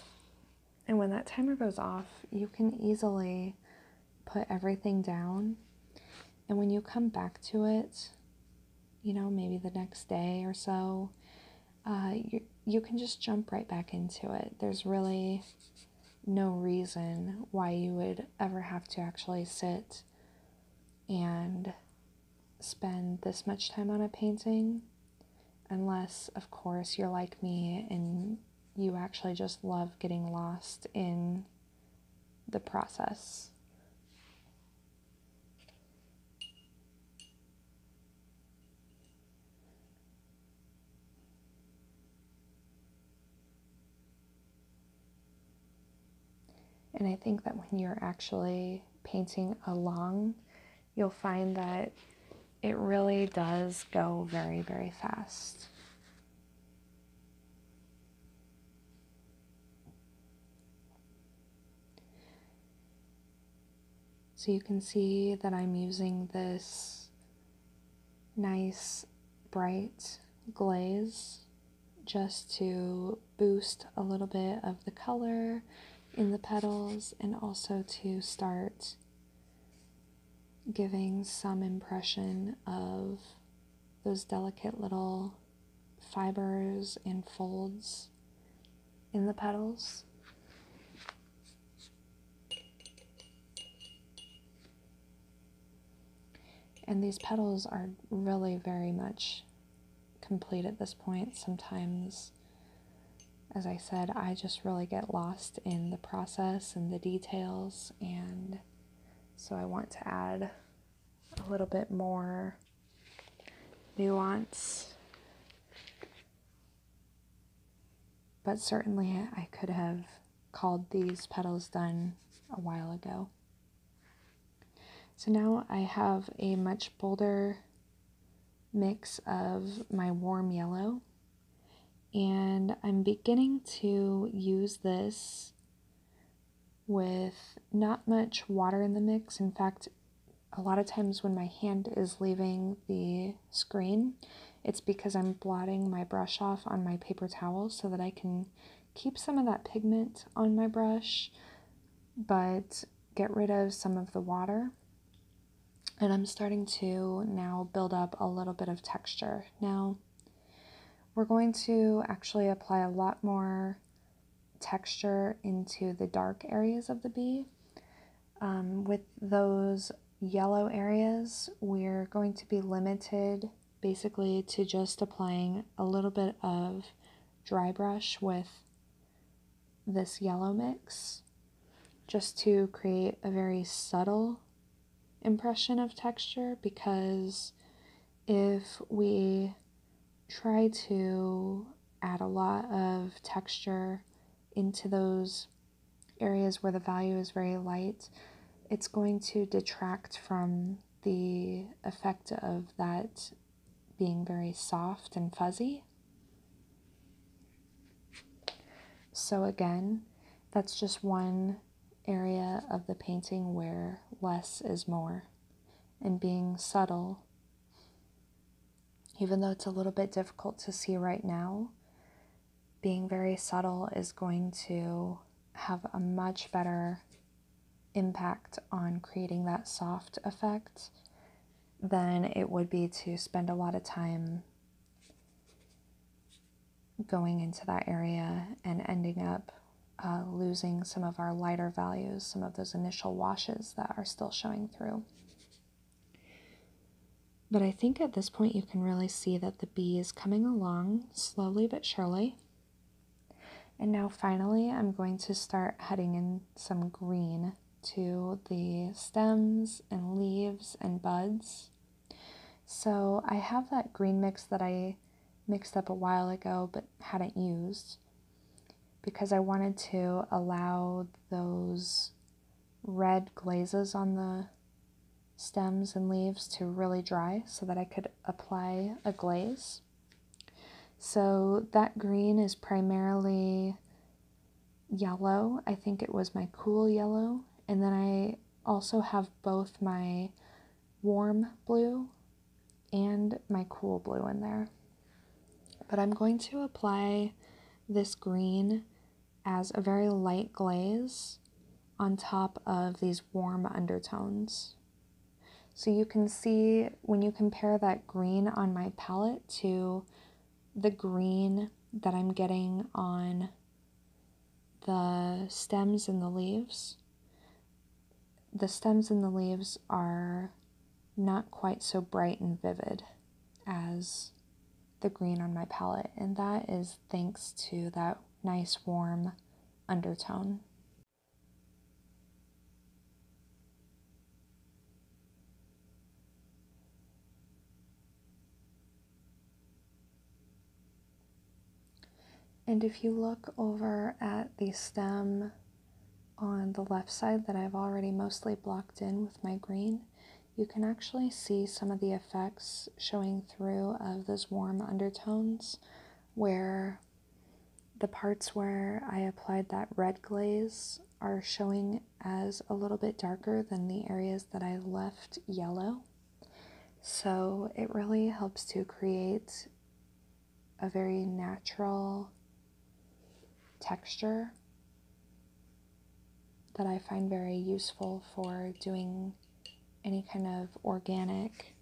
And when that timer goes off, you can easily put everything down. And when you come back to it, you know, maybe the next day or so, uh, you, you can just jump right back into it. There's really no reason why you would ever have to actually sit and spend this much time on a painting, unless, of course, you're like me and you actually just love getting lost in the process. And I think that when you're actually painting along, you'll find that it really does go very, very fast. So you can see that I'm using this nice bright glaze just to boost a little bit of the color in the petals and also to start giving some impression of those delicate little fibers and folds in the petals. And these petals are really very much complete at this point. Sometimes, as I said, I just really get lost in the process and the details, and so I want to add a little bit more nuance. But certainly, I could have called these petals done a while ago. So now I have a much bolder mix of my warm yellow and I'm beginning to use this with not much water in the mix. In fact, a lot of times when my hand is leaving the screen, it's because I'm blotting my brush off on my paper towel so that I can keep some of that pigment on my brush, but get rid of some of the water. And I'm starting to now build up a little bit of texture. Now, we're going to actually apply a lot more texture into the dark areas of the bee. Um, with those yellow areas, we're going to be limited basically to just applying a little bit of dry brush with this yellow mix just to create a very subtle impression of texture because if we try to add a lot of texture into those areas where the value is very light, it's going to detract from the effect of that being very soft and fuzzy. So, again, that's just one area of the painting where less is more and being subtle. Even though it's a little bit difficult to see right now, being very subtle is going to have a much better impact on creating that soft effect than it would be to spend a lot of time going into that area and ending up uh, losing some of our lighter values, some of those initial washes that are still showing through. But I think at this point you can really see that the bee is coming along slowly but surely. And now finally, I'm going to start adding in some green to the stems and leaves and buds. So I have that green mix that I mixed up a while ago but hadn't used because I wanted to allow those red glazes on the stems and leaves to really dry so that I could apply a glaze. So that green is primarily yellow. I think it was my cool yellow. And then I also have both my warm blue and my cool blue in there. But I'm going to apply this green as a very light glaze on top of these warm undertones. So you can see when you compare that green on my palette to the green that I'm getting on the stems and the leaves, the stems and the leaves are not quite so bright and vivid as the green on my palette, and that is thanks to that nice warm undertone. And if you look over at the stem on the left side that I've already mostly blocked in with my green, you can actually see some of the effects showing through of those warm undertones where the parts where I applied that red glaze are showing as a little bit darker than the areas that I left yellow. So it really helps to create a very natural texture that I find very useful for doing any kind of organic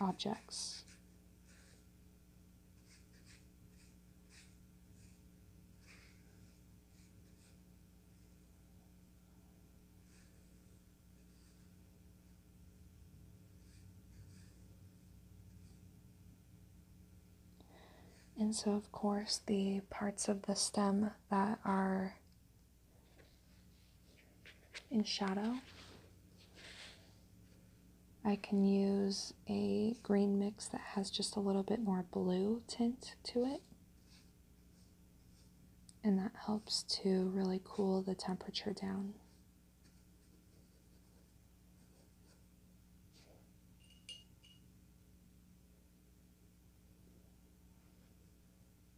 objects. And so, of course, the parts of the stem that are in shadow. I can use a green mix that has just a little bit more blue tint to it. And that helps to really cool the temperature down.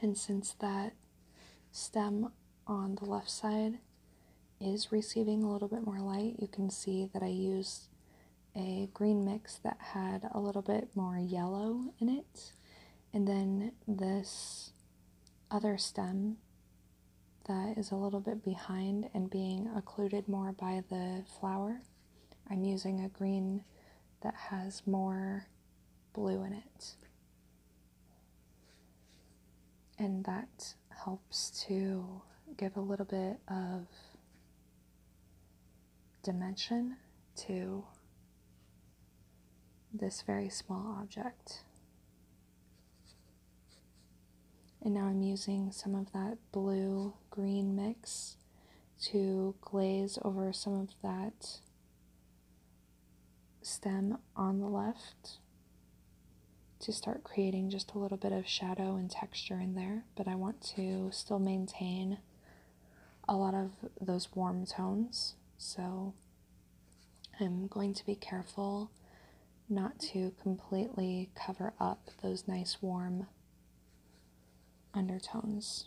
And since that stem on the left side is receiving a little bit more light, you can see that I used a green mix that had a little bit more yellow in it. And then this other stem that is a little bit behind and being occluded more by the flower. I'm using a green that has more blue in it. And that helps to give a little bit of dimension to this very small object. And now I'm using some of that blue green mix to glaze over some of that stem on the left to start creating just a little bit of shadow and texture in there, but I want to still maintain a lot of those warm tones. So I'm going to be careful not to completely cover up those nice warm undertones.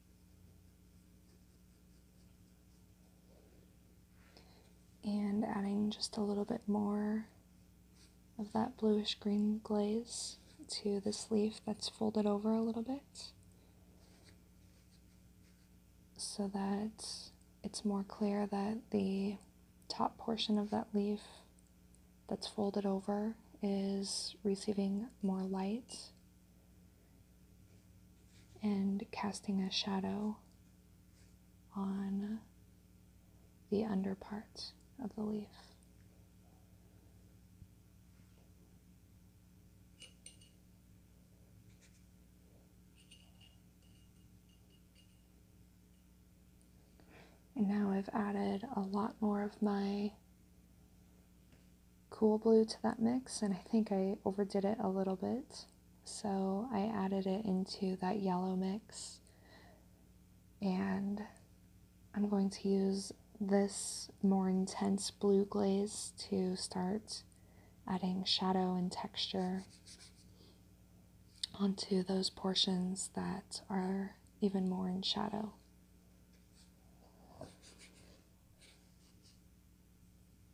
and adding just a little bit more of that bluish green glaze to this leaf that's folded over a little bit so that it's more clear that the top portion of that leaf that's folded over is receiving more light and casting a shadow on the under part of the leaf. And now I've added a lot more of my cool blue to that mix, and I think I overdid it a little bit. So I added it into that yellow mix, and I'm going to use this more intense blue glaze to start adding shadow and texture onto those portions that are even more in shadow.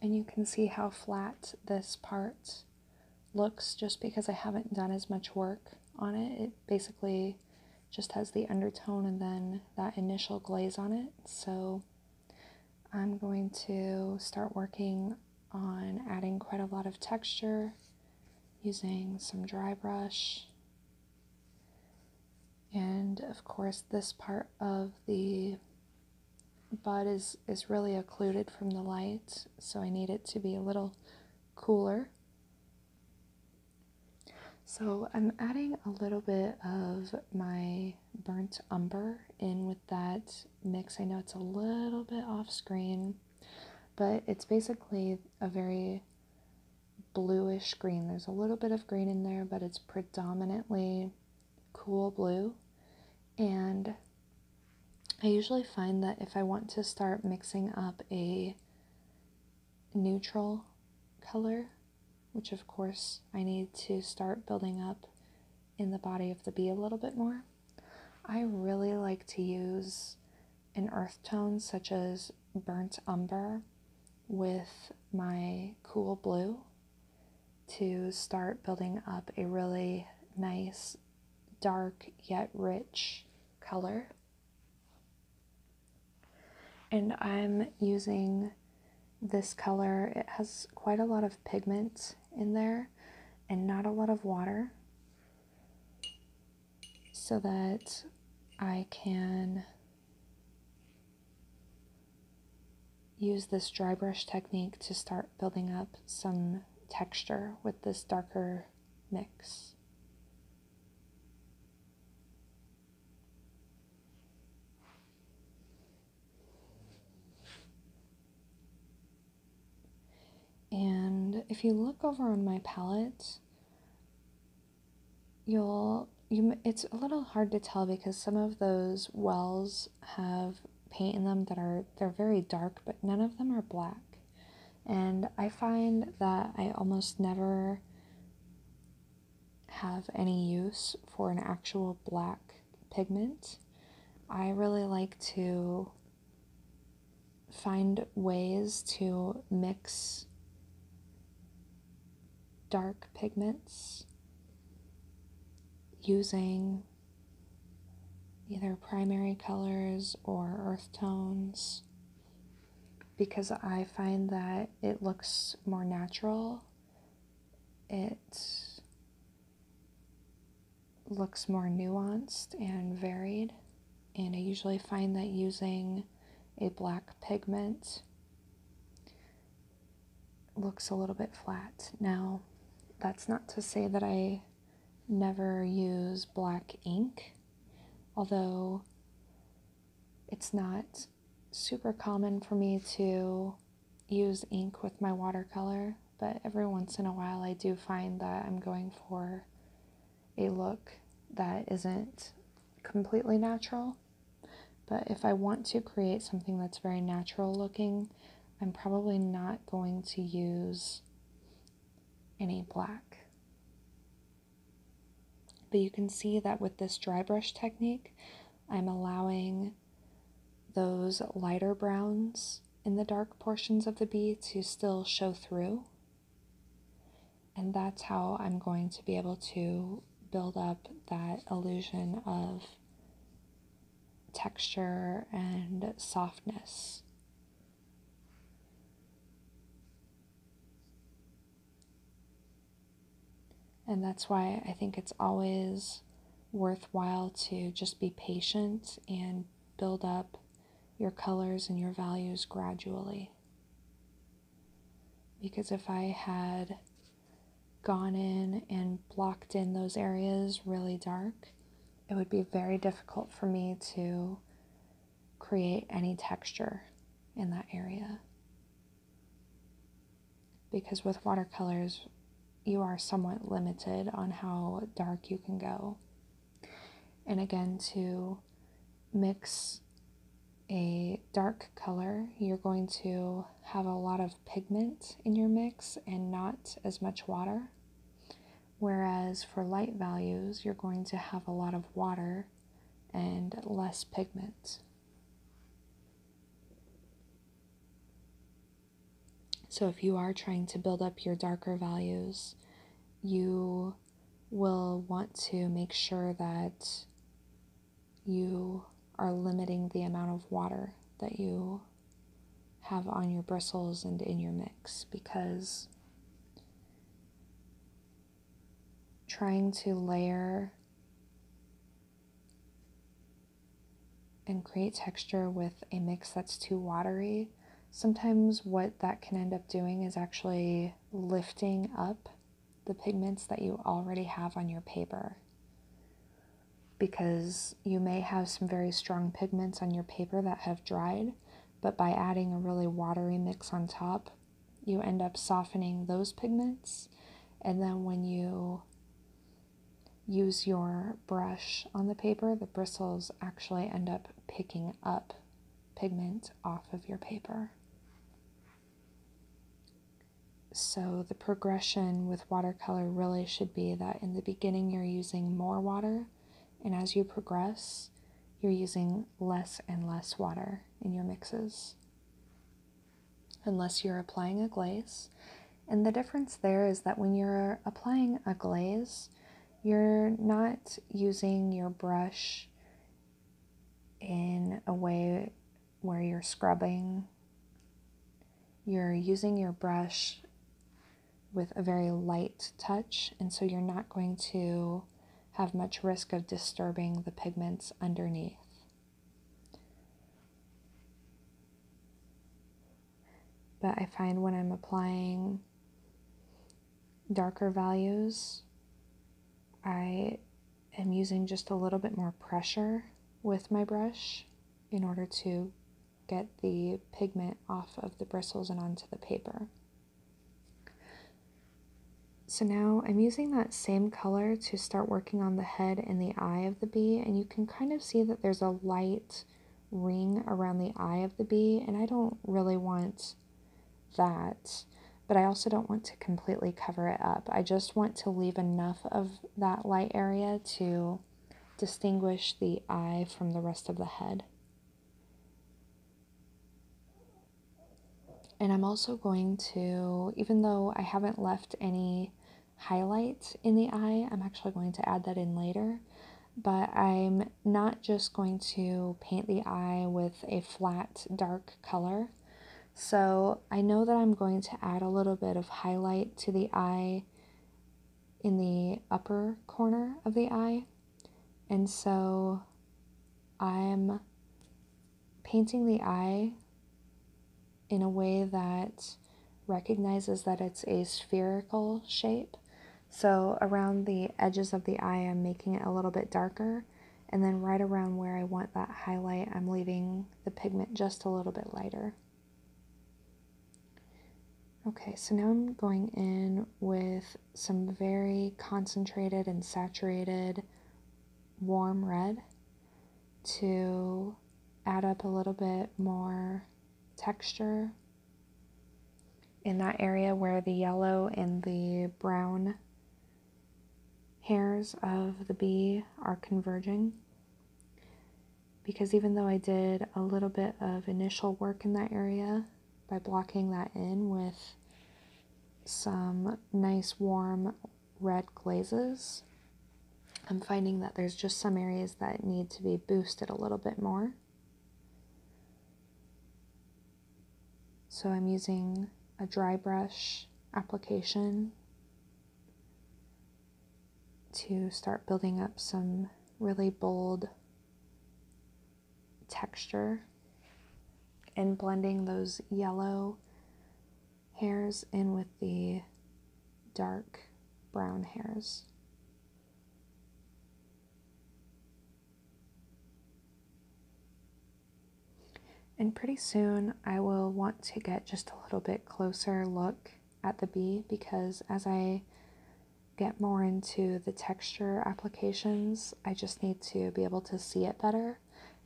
And you can see how flat this part looks just because I haven't done as much work on it. It basically just has the undertone and then that initial glaze on it. So I'm going to start working on adding quite a lot of texture using some dry brush. And of course, this part of the but is, is really occluded from the light, so I need it to be a little cooler. So I'm adding a little bit of my burnt umber in with that mix. I know it's a little bit off screen, but it's basically a very bluish green. There's a little bit of green in there, but it's predominantly cool blue. And I usually find that if I want to start mixing up a neutral color, which of course I need to start building up in the body of the bee a little bit more, I really like to use an earth tone such as burnt umber with my cool blue to start building up a really nice dark yet rich color. And I'm using this color. It has quite a lot of pigment in there and not a lot of water so that I can use this dry brush technique to start building up some texture with this darker mix. And if you look over on my palette, you'll you it's a little hard to tell because some of those wells have paint in them that are they're very dark, but none of them are black. And I find that I almost never have any use for an actual black pigment. I really like to find ways to mix dark pigments using either primary colors or earth tones because I find that it looks more natural. It looks more nuanced and varied. And I usually find that using a black pigment looks a little bit flat. Now, that's not to say that I never use black ink, although it's not super common for me to use ink with my watercolor, but every once in a while I do find that I'm going for a look that isn't completely natural. But if I want to create something that's very natural looking, I'm probably not going to use any black. But you can see that with this dry brush technique, I'm allowing those lighter browns in the dark portions of the bee to still show through. And that's how I'm going to be able to build up that illusion of texture and softness. And that's why I think it's always worthwhile to just be patient and build up your colors and your values gradually. Because if I had gone in and blocked in those areas really dark, it would be very difficult for me to create any texture in that area. Because with watercolors, you are somewhat limited on how dark you can go. And again, to mix a dark color, you're going to have a lot of pigment in your mix and not as much water. Whereas for light values, you're going to have a lot of water and less pigment. So if you are trying to build up your darker values, you will want to make sure that you are limiting the amount of water that you have on your bristles and in your mix because trying to layer and create texture with a mix that's too watery, sometimes what that can end up doing is actually lifting up the pigments that you already have on your paper because you may have some very strong pigments on your paper that have dried, but by adding a really watery mix on top, you end up softening those pigments. And then when you use your brush on the paper, the bristles actually end up picking up pigment off of your paper. So, the progression with watercolor really should be that in the beginning you're using more water and as you progress, you're using less and less water in your mixes, unless you're applying a glaze. And the difference there is that when you're applying a glaze, you're not using your brush in a way where you're scrubbing. You're using your brush with a very light touch, and so you're not going to have much risk of disturbing the pigments underneath. But I find when I'm applying darker values, I am using just a little bit more pressure with my brush in order to get the pigment off of the bristles and onto the paper. So now I'm using that same color to start working on the head and the eye of the bee and you can kind of see that there's a light ring around the eye of the bee and I don't really want that but I also don't want to completely cover it up. I just want to leave enough of that light area to distinguish the eye from the rest of the head. And I'm also going to, even though I haven't left any highlight in the eye, I'm actually going to add that in later. But I'm not just going to paint the eye with a flat dark color. So I know that I'm going to add a little bit of highlight to the eye in the upper corner of the eye and so I'm painting the eye in a way that recognizes that it's a spherical shape. So around the edges of the eye, I'm making it a little bit darker. And then right around where I want that highlight, I'm leaving the pigment just a little bit lighter. Okay, so now I'm going in with some very concentrated and saturated warm red to add up a little bit more texture in that area where the yellow and the brown hairs of the bee are converging. Because even though I did a little bit of initial work in that area, by blocking that in with some nice warm red glazes. I'm finding that there's just some areas that need to be boosted a little bit more. So I'm using a dry brush application to start building up some really bold texture and blending those yellow hairs in with the dark brown hairs. And pretty soon I will want to get just a little bit closer look at the bee because as I get more into the texture applications. I just need to be able to see it better.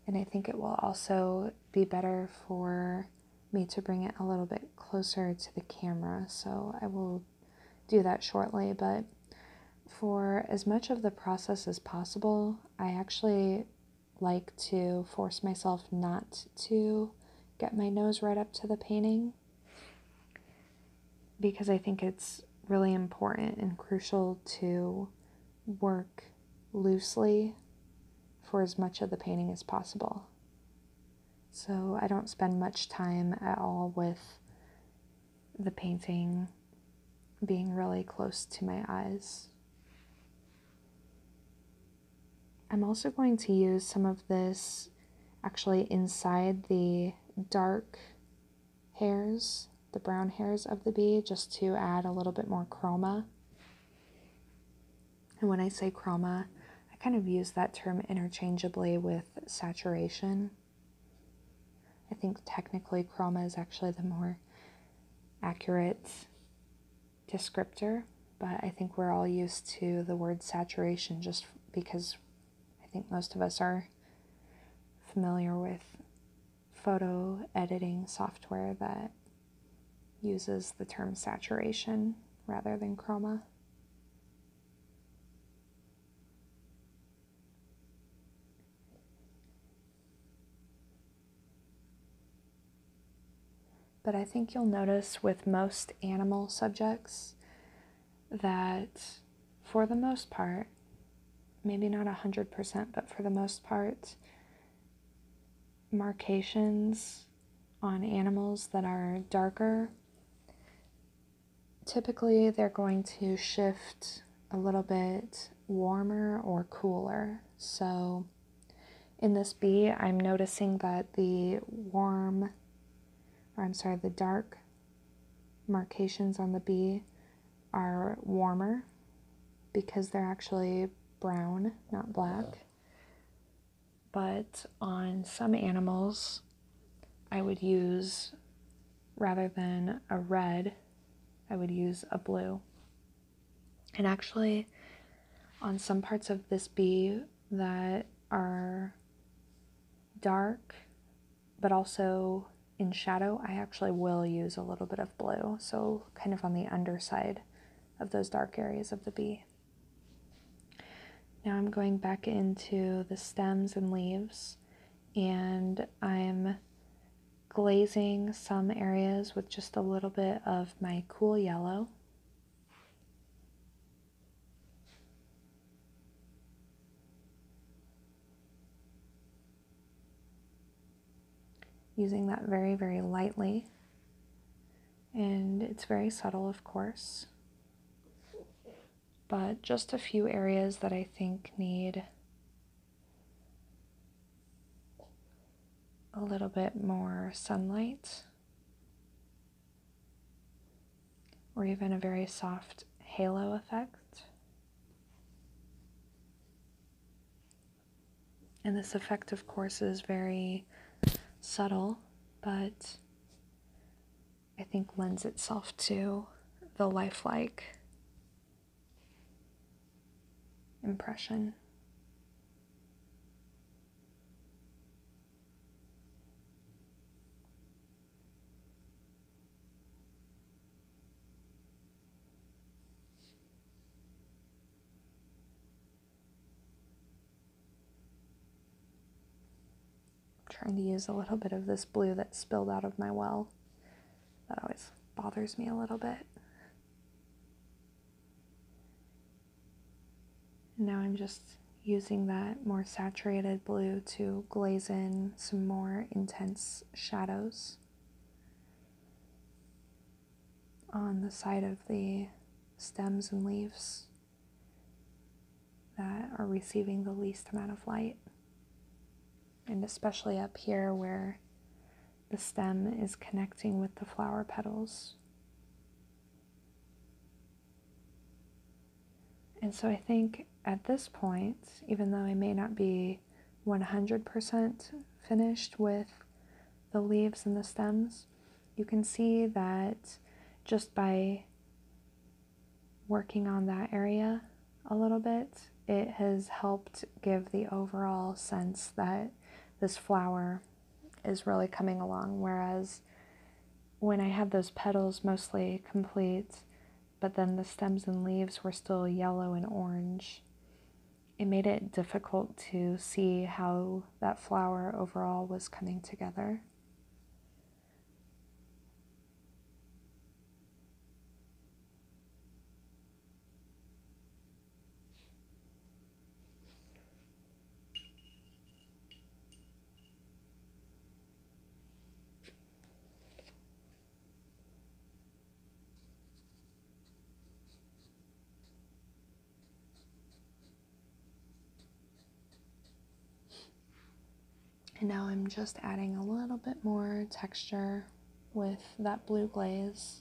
And I think it will also be better for me to bring it a little bit closer to the camera. So I will do that shortly. But for as much of the process as possible, I actually like to force myself not to get my nose right up to the painting because I think it's really important and crucial to work loosely for as much of the painting as possible. So I don't spend much time at all with the painting being really close to my eyes. I'm also going to use some of this actually inside the dark hairs, the brown hairs of the bee, just to add a little bit more chroma. And when I say chroma, I kind of use that term interchangeably with saturation. I think technically chroma is actually the more accurate descriptor, but I think we're all used to the word saturation just because I think most of us are familiar with photo editing software that uses the term saturation rather than chroma. But I think you'll notice with most animal subjects that for the most part, maybe not 100%, but for the most part, markations on animals that are darker, typically they're going to shift a little bit warmer or cooler. So in this bee, I'm noticing that the warm, or I'm sorry, the dark markations on the bee are warmer because they're actually brown, not black. But on some animals, I would use rather than a red, I would use a blue. And actually, on some parts of this bee that are dark but also in shadow, I actually will use a little bit of blue, so kind of on the underside of those dark areas of the bee. Now I'm going back into the stems and leaves, and I'm glazing some areas with just a little bit of my cool yellow. Using that very, very lightly. And it's very subtle, of course, but just a few areas that I think need a little bit more sunlight or even a very soft halo effect. And this effect, of course, is very subtle, but I think lends itself to the lifelike impression trying to use a little bit of this blue that spilled out of my well. That always bothers me a little bit. And now I'm just using that more saturated blue to glaze in some more intense shadows on the side of the stems and leaves that are receiving the least amount of light. And especially up here where the stem is connecting with the flower petals. And so I think at this point, even though I may not be 100% finished with the leaves and the stems, you can see that just by working on that area a little bit, it has helped give the overall sense that this flower is really coming along. Whereas when I have those petals mostly complete, but then the stems and leaves were still yellow and orange. It made it difficult to see how that flower overall was coming together. And now I'm just adding a little bit more texture with that blue glaze.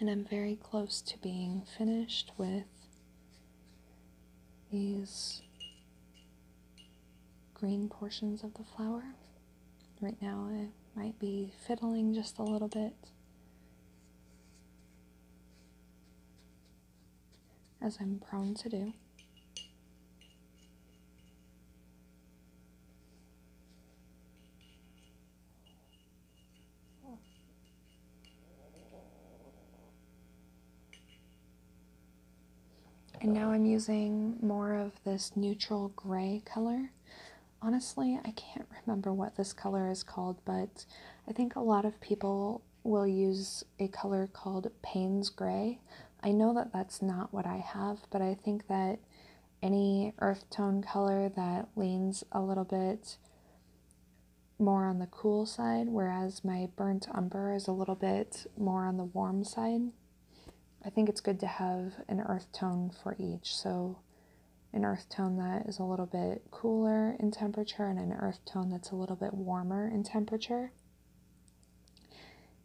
And I'm very close to being finished with these green portions of the flower. Right now I might be fiddling just a little bit as I'm prone to do. And now I'm using more of this neutral gray color. Honestly, I can't remember what this color is called, but I think a lot of people will use a color called Payne's Gray. I know that that's not what I have, but I think that any earth tone color that leans a little bit more on the cool side, whereas my burnt umber is a little bit more on the warm side. I think it's good to have an earth tone for each. So, an earth tone that is a little bit cooler in temperature and an earth tone that's a little bit warmer in temperature.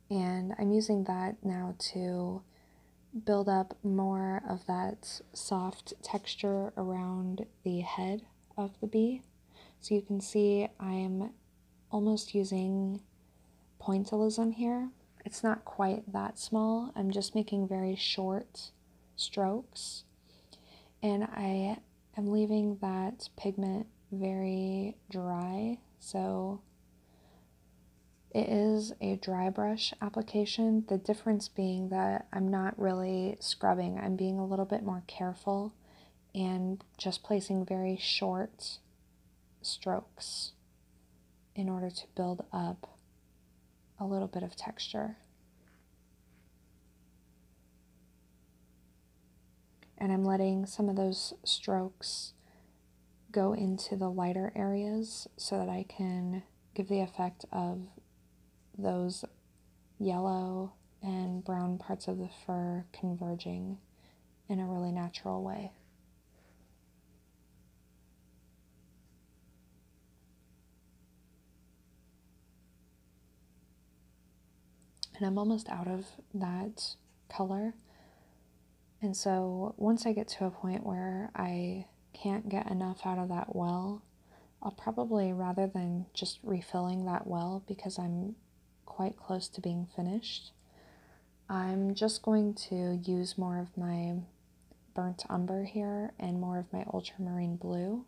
And I'm using that now to build up more of that soft texture around the head of the bee. So you can see I'm almost using pointillism here. It's not quite that small. I'm just making very short strokes. And I I'm leaving that pigment very dry, so it is a dry brush application, the difference being that I'm not really scrubbing. I'm being a little bit more careful and just placing very short strokes in order to build up a little bit of texture. And I'm letting some of those strokes go into the lighter areas so that I can give the effect of those yellow and brown parts of the fur converging in a really natural way. And I'm almost out of that color. And so once I get to a point where I can't get enough out of that well, I'll probably rather than just refilling that well because I'm quite close to being finished, I'm just going to use more of my burnt umber here and more of my ultramarine blue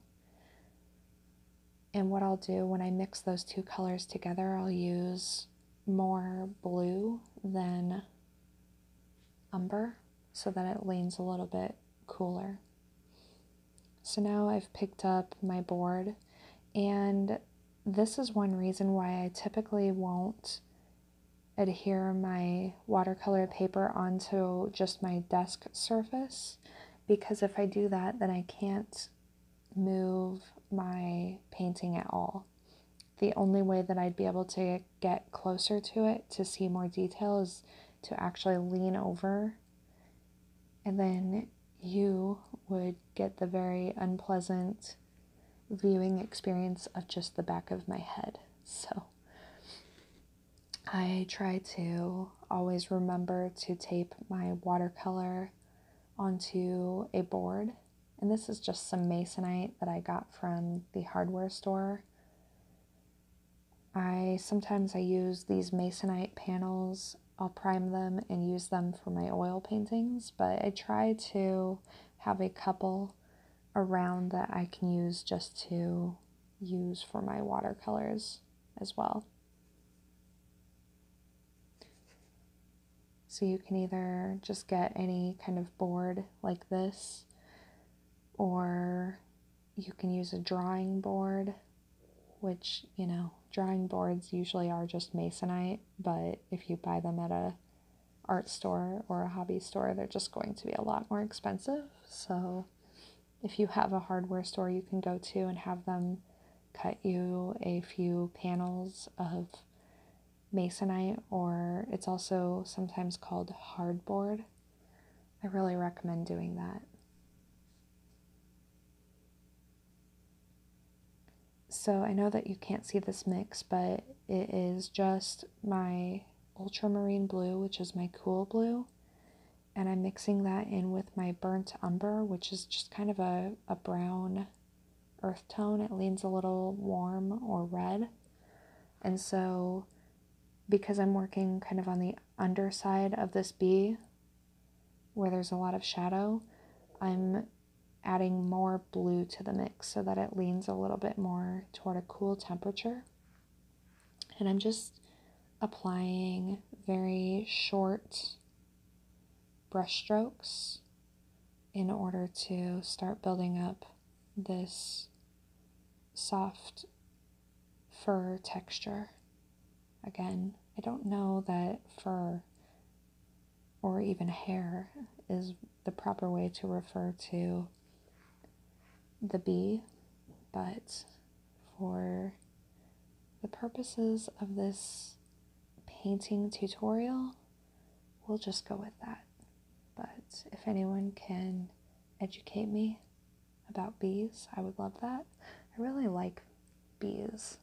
and what I'll do when I mix those two colors together, I'll use more blue than umber so that it leans a little bit cooler. So now I've picked up my board and this is one reason why I typically won't adhere my watercolor paper onto just my desk surface because if I do that, then I can't move my painting at all. The only way that I'd be able to get closer to it to see more detail is to actually lean over, and then you would get the very unpleasant viewing experience of just the back of my head. So I try to always remember to tape my watercolor onto a board. And this is just some masonite that I got from the hardware store. I sometimes I use these masonite panels. I'll prime them and use them for my oil paintings, but I try to have a couple around that I can use just to use for my watercolors as well. So you can either just get any kind of board like this, or you can use a drawing board, which, you know, drawing boards usually are just masonite, but if you buy them at a art store or a hobby store, they're just going to be a lot more expensive. So if you have a hardware store you can go to and have them cut you a few panels of masonite or it's also sometimes called hardboard. I really recommend doing that. So I know that you can't see this mix, but it is just my ultramarine blue, which is my cool blue, and I'm mixing that in with my burnt umber, which is just kind of a, a brown earth tone. It leans a little warm or red. And so, because I'm working kind of on the underside of this bee where there's a lot of shadow, I'm adding more blue to the mix so that it leans a little bit more toward a cool temperature. And I'm just applying very short brush strokes in order to start building up this soft fur texture. Again, I don't know that fur or even hair is the proper way to refer to the bee, but for the purposes of this painting tutorial, we'll just go with that. But if anyone can educate me about bees, I would love that. I really like bees.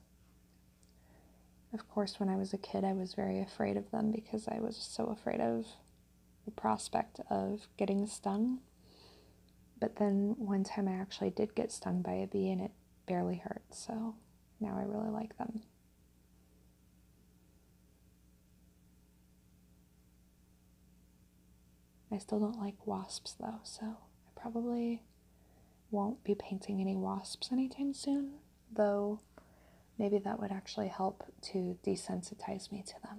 Of course, when I was a kid, I was very afraid of them because I was so afraid of the prospect of getting stung. But then one time I actually did get stung by a bee and it barely hurt, so now I really like them. I still don't like wasps though, so I probably won't be painting any wasps anytime soon, though maybe that would actually help to desensitize me to them.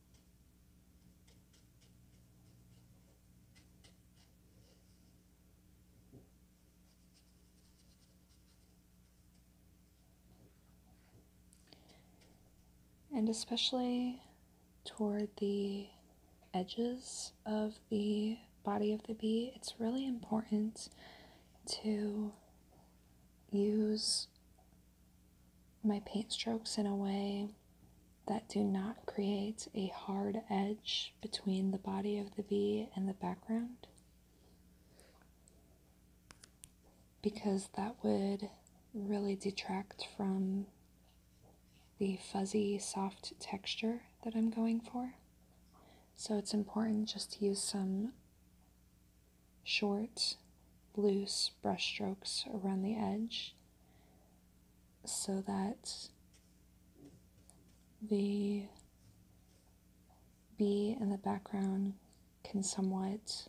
And especially toward the edges of the body of the bee, it's really important to use my paint strokes in a way that do not create a hard edge between the body of the bee and the background because that would really detract from the fuzzy soft texture that I'm going for. So it's important just to use some short loose brush strokes around the edge so that the B in the background can somewhat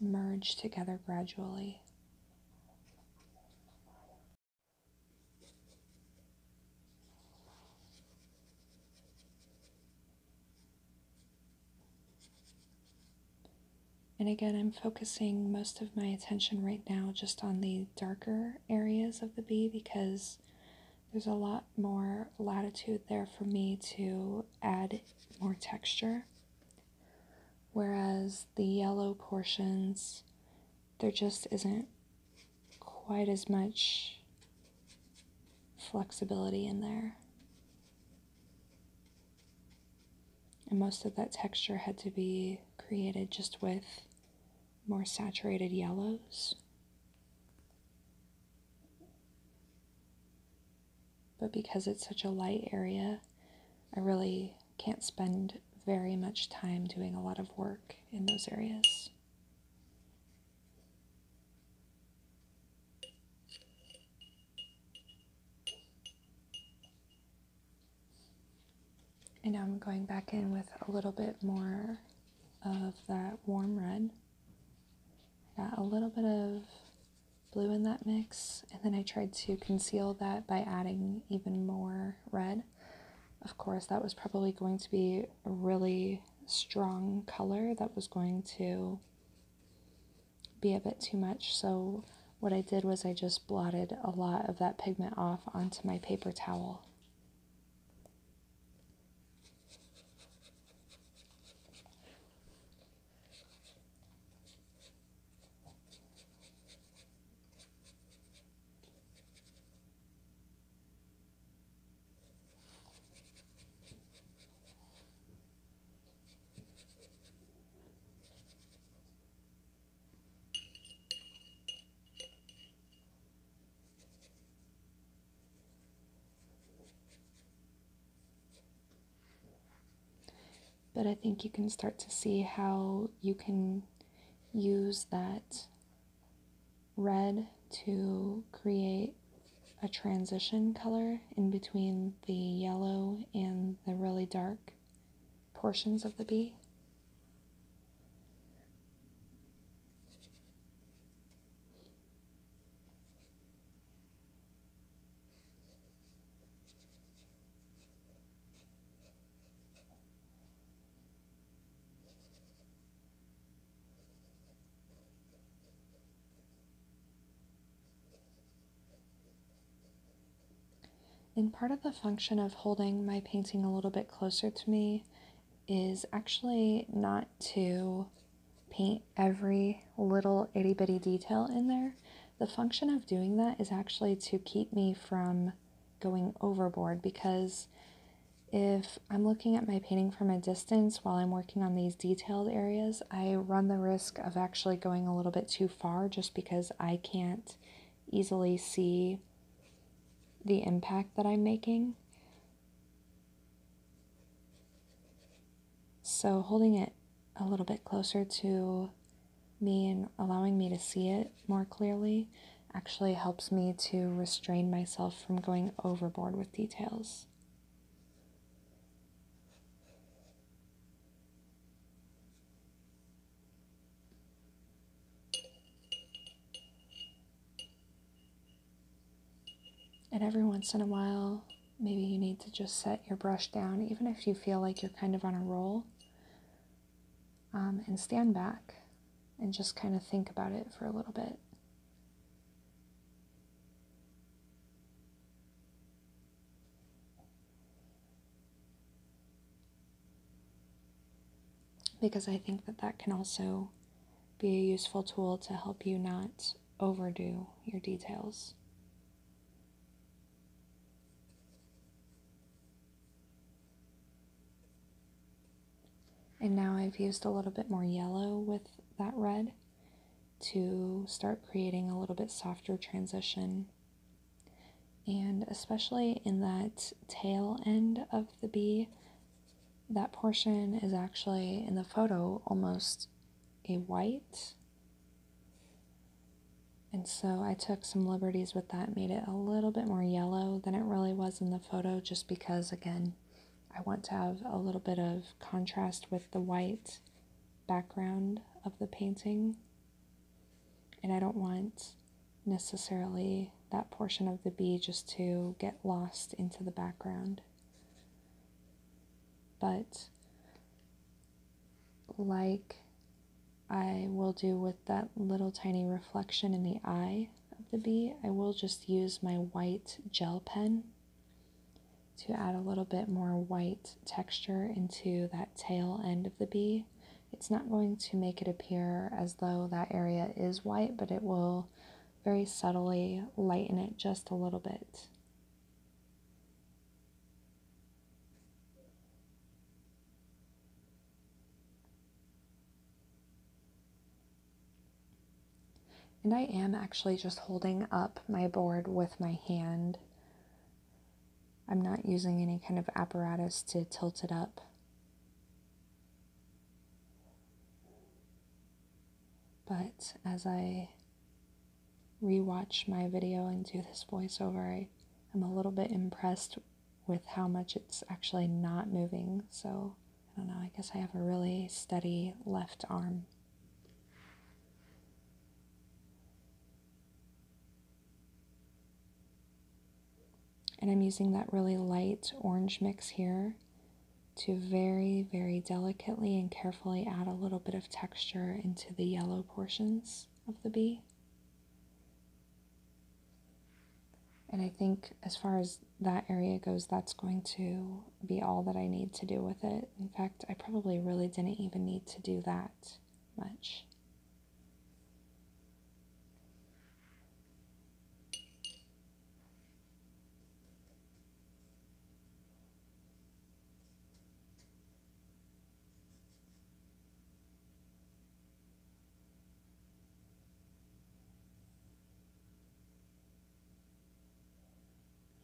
merge together gradually. And again, I'm focusing most of my attention right now just on the darker areas of the bee because there's a lot more latitude there for me to add more texture. Whereas the yellow portions, there just isn't quite as much flexibility in there. And most of that texture had to be created just with more saturated yellows. But because it's such a light area, I really can't spend very much time doing a lot of work in those areas. And now I'm going back in with a little bit more of that warm red. I got a little bit of blue in that mix, and then I tried to conceal that by adding even more red. Of course, that was probably going to be a really strong color that was going to be a bit too much. So what I did was I just blotted a lot of that pigment off onto my paper towel. But I think you can start to see how you can use that red to create a transition color in between the yellow and the really dark portions of the bee. And part of the function of holding my painting a little bit closer to me is actually not to paint every little itty bitty detail in there. The function of doing that is actually to keep me from going overboard because if I'm looking at my painting from a distance while I'm working on these detailed areas, I run the risk of actually going a little bit too far just because I can't easily see the impact that I'm making. So, holding it a little bit closer to me and allowing me to see it more clearly actually helps me to restrain myself from going overboard with details. And every once in a while, maybe you need to just set your brush down, even if you feel like you're kind of on a roll, um, and stand back and just kind of think about it for a little bit. Because I think that that can also be a useful tool to help you not overdo your details. And now I've used a little bit more yellow with that red to start creating a little bit softer transition and especially in that tail end of the bee, that portion is actually in the photo almost a white. And so I took some liberties with that, made it a little bit more yellow than it really was in the photo, just because, again, I want to have a little bit of contrast with the white background of the painting. And I don't want necessarily that portion of the bee just to get lost into the background. But like I will do with that little tiny reflection in the eye of the bee, I will just use my white gel pen to add a little bit more white texture into that tail end of the bee it's not going to make it appear as though that area is white, but it will very subtly lighten it just a little bit. And I am actually just holding up my board with my hand I'm not using any kind of apparatus to tilt it up. But as I rewatch my video and do this voiceover, I, am a little bit impressed with how much it's actually not moving. So I don't know, I guess I have a really steady left arm. And I'm using that really light orange mix here to very, very delicately and carefully add a little bit of texture into the yellow portions of the bee. And I think as far as that area goes, that's going to be all that I need to do with it. In fact, I probably really didn't even need to do that much.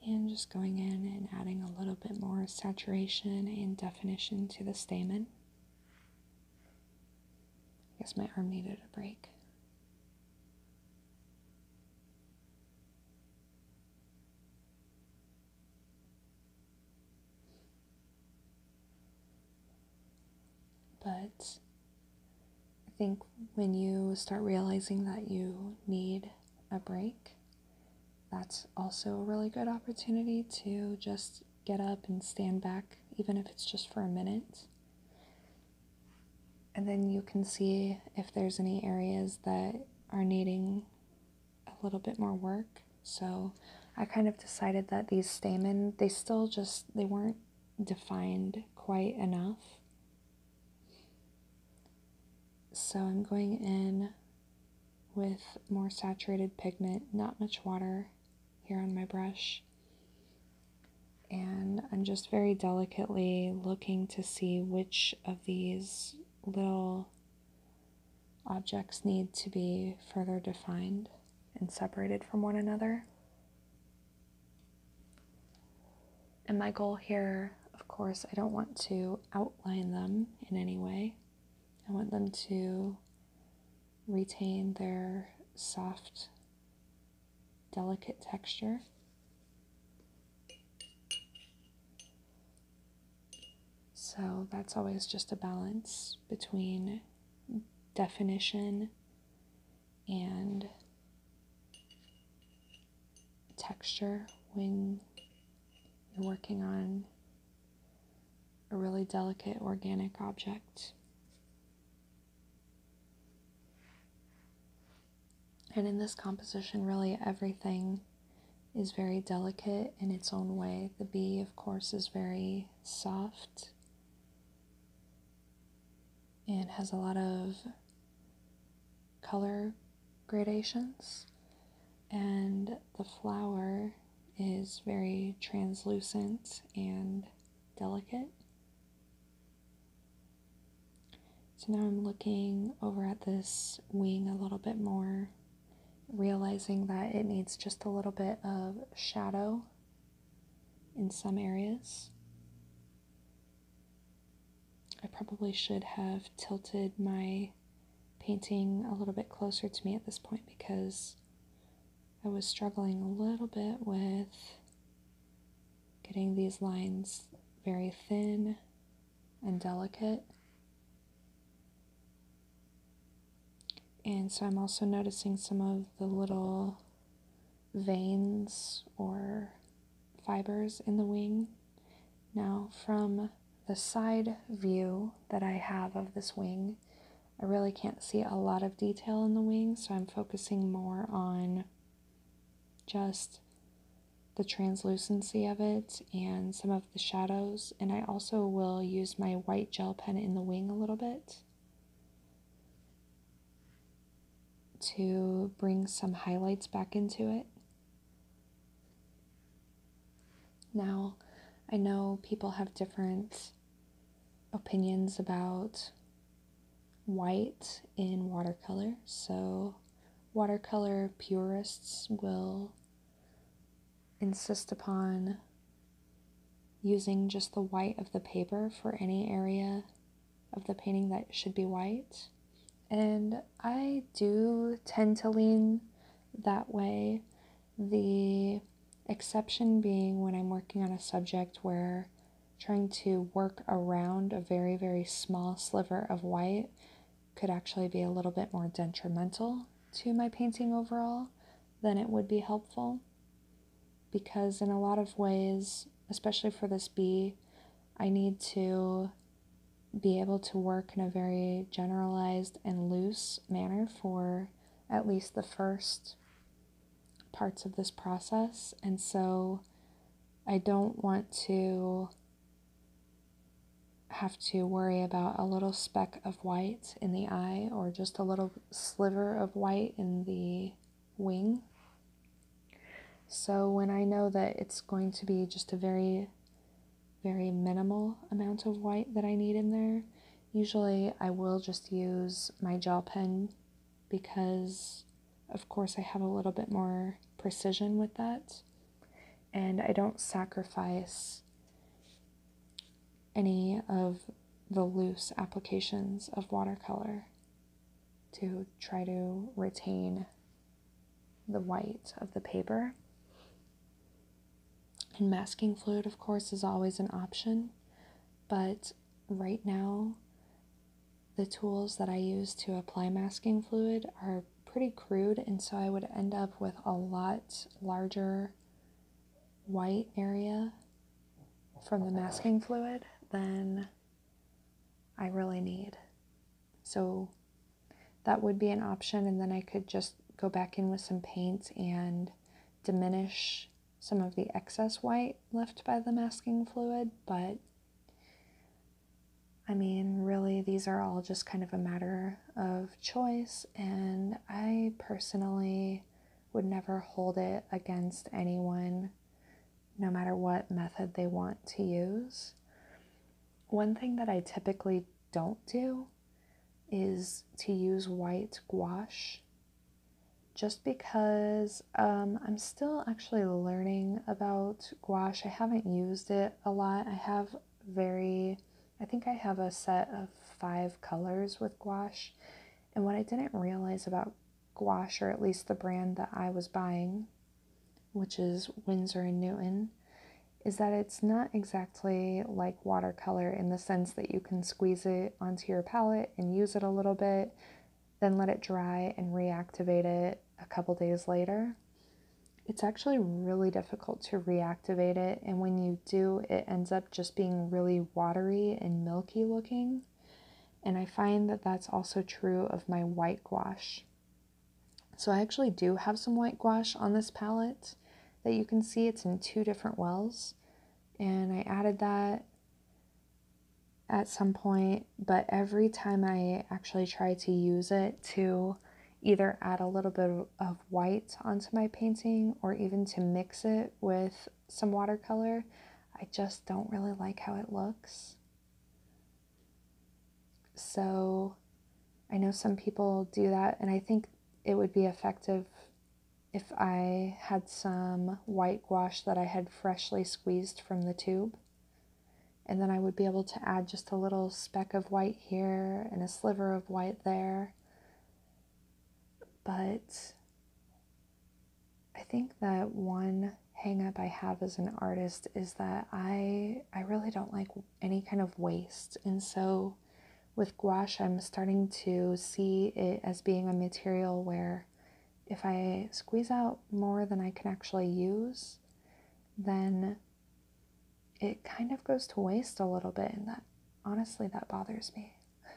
And just going in and adding a little bit more saturation and definition to the stamen. I guess my arm needed a break. But I think when you start realizing that you need a break, that's also a really good opportunity to just get up and stand back, even if it's just for a minute. And then you can see if there's any areas that are needing a little bit more work. So I kind of decided that these stamen, they still just, they weren't defined quite enough. So I'm going in with more saturated pigment, not much water here on my brush. And I'm just very delicately looking to see which of these little objects need to be further defined and separated from one another. And my goal here, of course, I don't want to outline them in any way. I want them to retain their soft, delicate texture. So that's always just a balance between definition and texture when you're working on a really delicate organic object. And in this composition, really everything is very delicate in its own way. The bee, of course, is very soft and has a lot of color gradations. And the flower is very translucent and delicate. So now I'm looking over at this wing a little bit more, realizing that it needs just a little bit of shadow in some areas. I probably should have tilted my painting a little bit closer to me at this point because I was struggling a little bit with getting these lines very thin and delicate. And so I'm also noticing some of the little veins or fibers in the wing. Now, from the side view that I have of this wing, I really can't see a lot of detail in the wings, so I'm focusing more on just the translucency of it and some of the shadows. And I also will use my white gel pen in the wing a little bit to bring some highlights back into it. Now, I know people have different opinions about white in watercolor. So, watercolor purists will insist upon using just the white of the paper for any area of the painting that should be white. And I do tend to lean that way the exception being when I'm working on a subject where trying to work around a very, very small sliver of white could actually be a little bit more detrimental to my painting overall than it would be helpful. Because in a lot of ways, especially for this bee, I need to be able to work in a very generalized and loose manner for at least the first parts of this process. And so I don't want to have to worry about a little speck of white in the eye or just a little sliver of white in the wing. So when I know that it's going to be just a very, very minimal amount of white that I need in there, Usually I will just use my gel pen because, of course, I have a little bit more precision with that and I don't sacrifice any of the loose applications of watercolor to try to retain the white of the paper. And masking fluid, of course, is always an option, but right now, the tools that I use to apply masking fluid are pretty crude, and so I would end up with a lot larger white area from the masking fluid than I really need. So that would be an option, and then I could just go back in with some paint and diminish some of the excess white left by the masking fluid, but I mean, really, these are all just kind of a matter of choice, and I personally would never hold it against anyone, no matter what method they want to use. One thing that I typically don't do is to use white gouache just because um, I'm still actually learning about gouache. I haven't used it a lot. I have very, I think I have a set of five colors with gouache. And what I didn't realize about gouache, or at least the brand that I was buying, which is Winsor and Newton, is that it's not exactly like watercolor in the sense that you can squeeze it onto your palette and use it a little bit, then let it dry and reactivate it a couple days later. It's actually really difficult to reactivate it, and when you do, it ends up just being really watery and milky looking. And I find that that's also true of my white gouache. So I actually do have some white gouache on this palette that you can see it's in two different wells and I added that at some point, but every time I actually try to use it to either add a little bit of white onto my painting or even to mix it with some watercolor, I just don't really like how it looks. So I know some people do that, and I think it would be effective if I had some white gouache that I had freshly squeezed from the tube. And then I would be able to add just a little speck of white here and a sliver of white there. But I think that one hangup I have as an artist is that I I really don't like any kind of waste. And so with gouache, I'm starting to see it as being a material where if I squeeze out more than I can actually use, then it kind of goes to waste a little bit. And that honestly, that bothers me.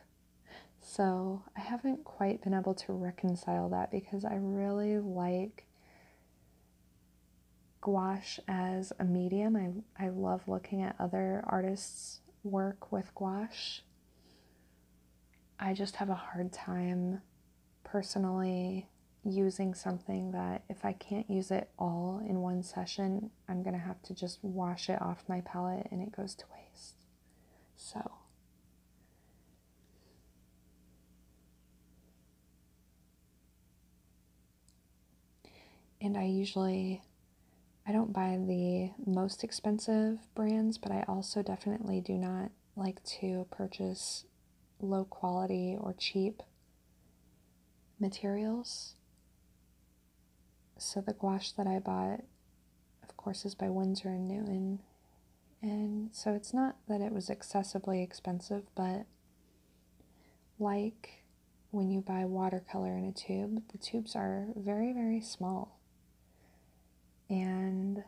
so I haven't quite been able to reconcile that because I really like gouache as a medium. I, I love looking at other artists' work with gouache I just have a hard time personally using something that if I can't use it all in one session, I'm going to have to just wash it off my palette and it goes to waste. So. And I usually I don't buy the most expensive brands, but I also definitely do not like to purchase low quality or cheap materials. So the gouache that I bought, of course, is by Windsor and Newton. And so it's not that it was excessively expensive, but like when you buy watercolor in a tube, the tubes are very, very small. And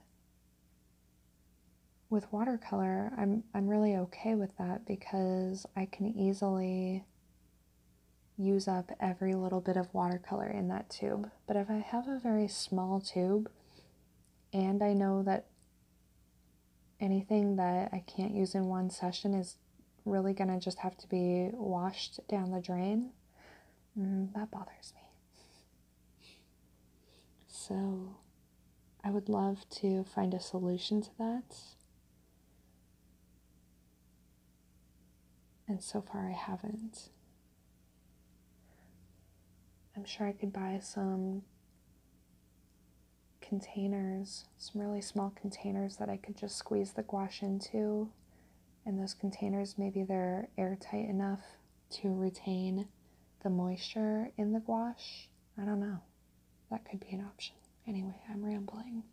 with watercolor, I'm I'm really okay with that because I can easily use up every little bit of watercolor in that tube. But if I have a very small tube and I know that anything that I can't use in one session is really going to just have to be washed down the drain, Mm, that bothers me. So, I would love to find a solution to that. And so far, I haven't. I'm sure I could buy some containers, some really small containers that I could just squeeze the gouache into and those containers, maybe they're airtight enough to retain the moisture in the gouache. I don't know. That could be an option. Anyway, I'm rambling.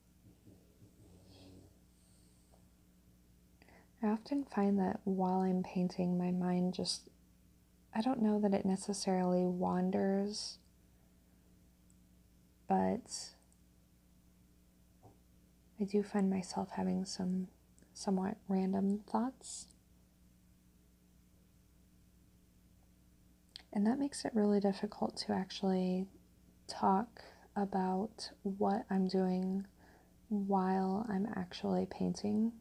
I often find that while I'm painting, my mind just, I don't know that it necessarily wanders, but I do find myself having some somewhat random thoughts. And that makes it really difficult to actually talk about what I'm doing while I'm actually painting.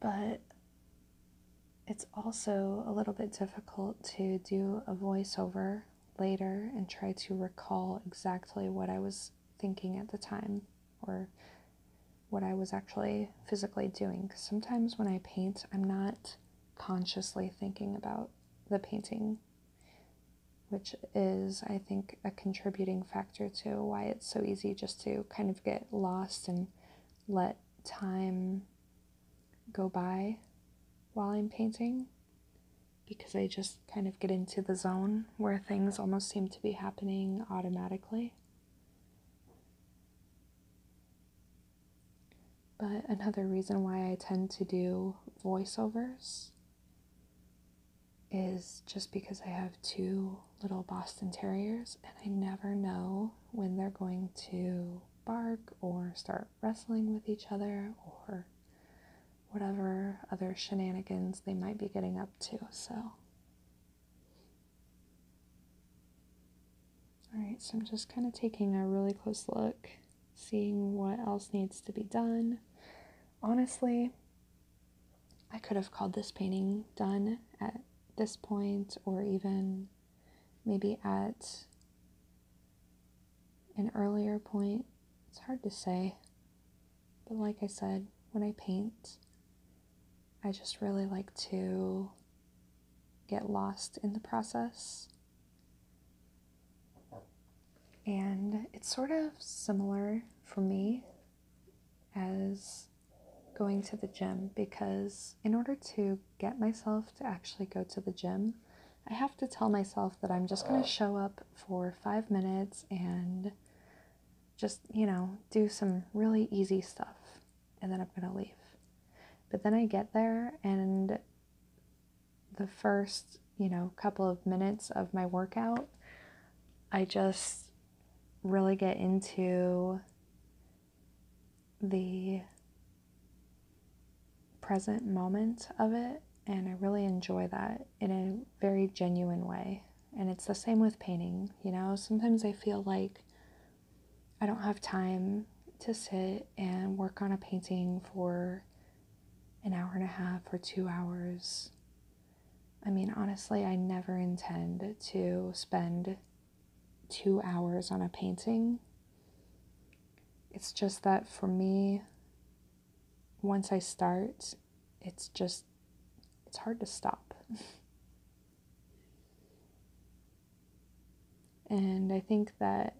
But it's also a little bit difficult to do a voiceover later and try to recall exactly what I was thinking at the time or what I was actually physically doing. Sometimes when I paint, I'm not consciously thinking about the painting, which is, I think, a contributing factor to why it's so easy just to kind of get lost and let time go by while I'm painting because I just kind of get into the zone where things almost seem to be happening automatically. But another reason why I tend to do voiceovers is just because I have two little Boston Terriers and I never know when they're going to bark or start wrestling with each other or whatever other shenanigans they might be getting up to. So, all right, so I'm just kind of taking a really close look, seeing what else needs to be done. Honestly, I could have called this painting done at this point or even maybe at an earlier point. It's hard to say. But like I said, when I paint, I just really like to get lost in the process. And it's sort of similar for me as going to the gym because in order to get myself to actually go to the gym, I have to tell myself that I'm just going to show up for five minutes and just, you know, do some really easy stuff and then I'm going to leave. But then I get there and the first, you know, couple of minutes of my workout, I just really get into the present moment of it, and I really enjoy that in a very genuine way. And it's the same with painting, you know. Sometimes I feel like I don't have time to sit and work on a painting for an hour and a half or two hours. I mean, honestly, I never intend to spend two hours on a painting. It's just that for me, once I start, it's just, it's hard to stop. and I think that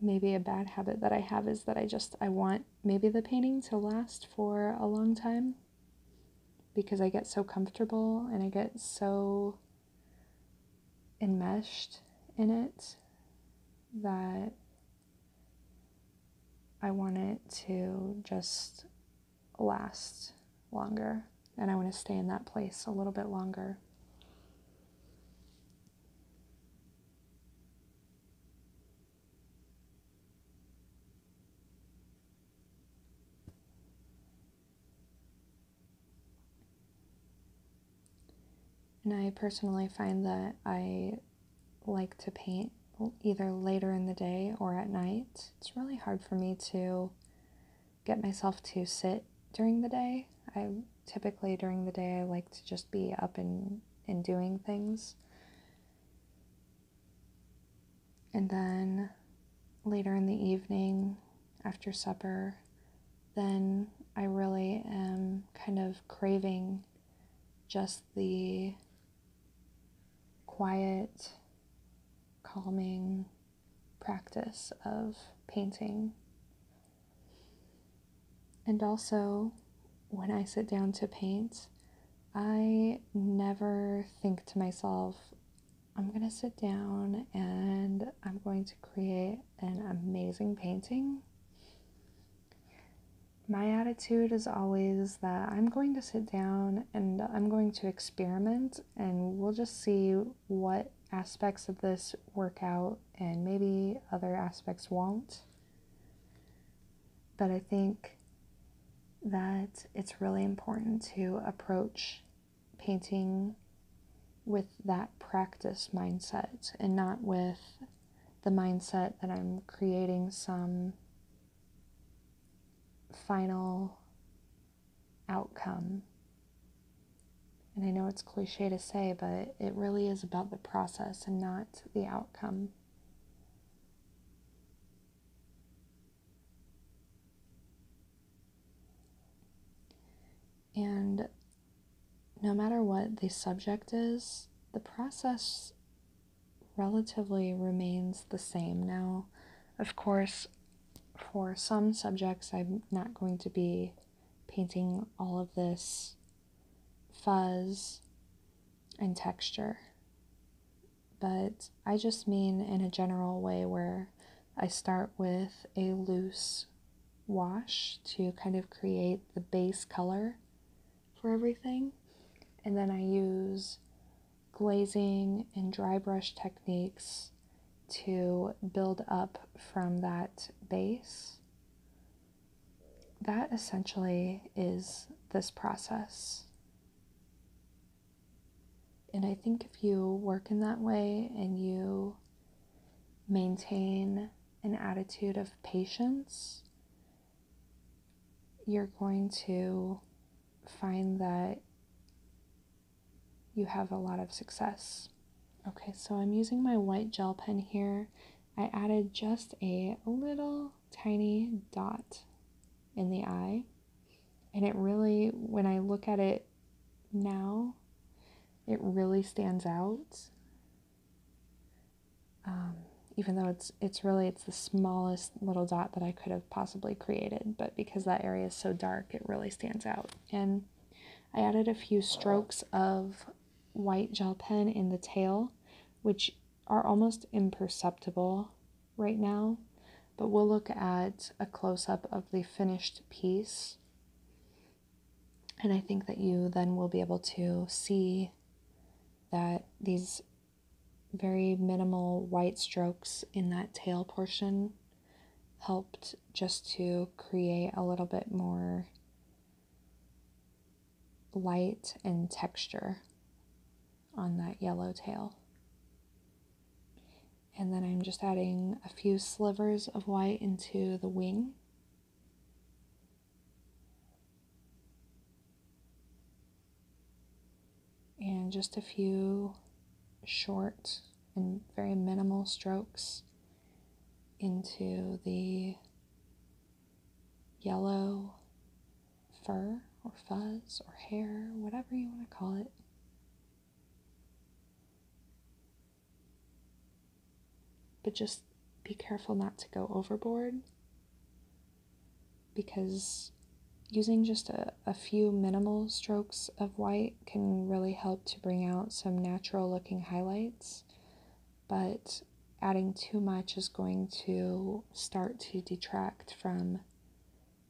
maybe a bad habit that I have is that I just, I want maybe the painting to last for a long time because I get so comfortable and I get so enmeshed in it that I want it to just last longer and I want to stay in that place a little bit longer. And I personally find that I like to paint either later in the day or at night. It's really hard for me to get myself to sit during the day. I typically during the day I like to just be up and, and doing things. And then later in the evening, after supper, then I really am kind of craving just the quiet, calming practice of painting. And also, when I sit down to paint, I never think to myself, I'm going to sit down and I'm going to create an amazing painting. My attitude is always that I'm going to sit down and I'm going to experiment and we'll just see what aspects of this work out and maybe other aspects won't. But I think that it's really important to approach painting with that practice mindset and not with the mindset that I'm creating some final outcome. And I know it's cliche to say, but it really is about the process and not the outcome. And no matter what the subject is, the process relatively remains the same. Now, of course, for some subjects, I'm not going to be painting all of this fuzz and texture. But I just mean in a general way where I start with a loose wash to kind of create the base color for everything. And then I use glazing and dry brush techniques to build up from that base. That essentially is this process. And I think if you work in that way and you Maintain an attitude of patience. You're going to find that you have a lot of success. Okay, so I'm using my white gel pen here. I added just a little tiny dot in the eye. And it really, when I look at it now, it really stands out. Um, even though it's it's really it's the smallest little dot that I could have possibly created, but because that area is so dark, it really stands out. And I added a few strokes of white gel pen in the tail, which are almost imperceptible right now, but we'll look at a close up of the finished piece and I think that you then will be able to see that these very minimal white strokes in that tail portion helped just to create a little bit more light and texture on that yellow tail and then I'm just adding a few slivers of white into the wing. And just a few short and very minimal strokes into the yellow fur or fuzz or hair, whatever you want to call it. But just be careful not to go overboard because using just a, few minimal strokes of white can really help to bring out some natural looking highlights. But adding too much is going to start to detract from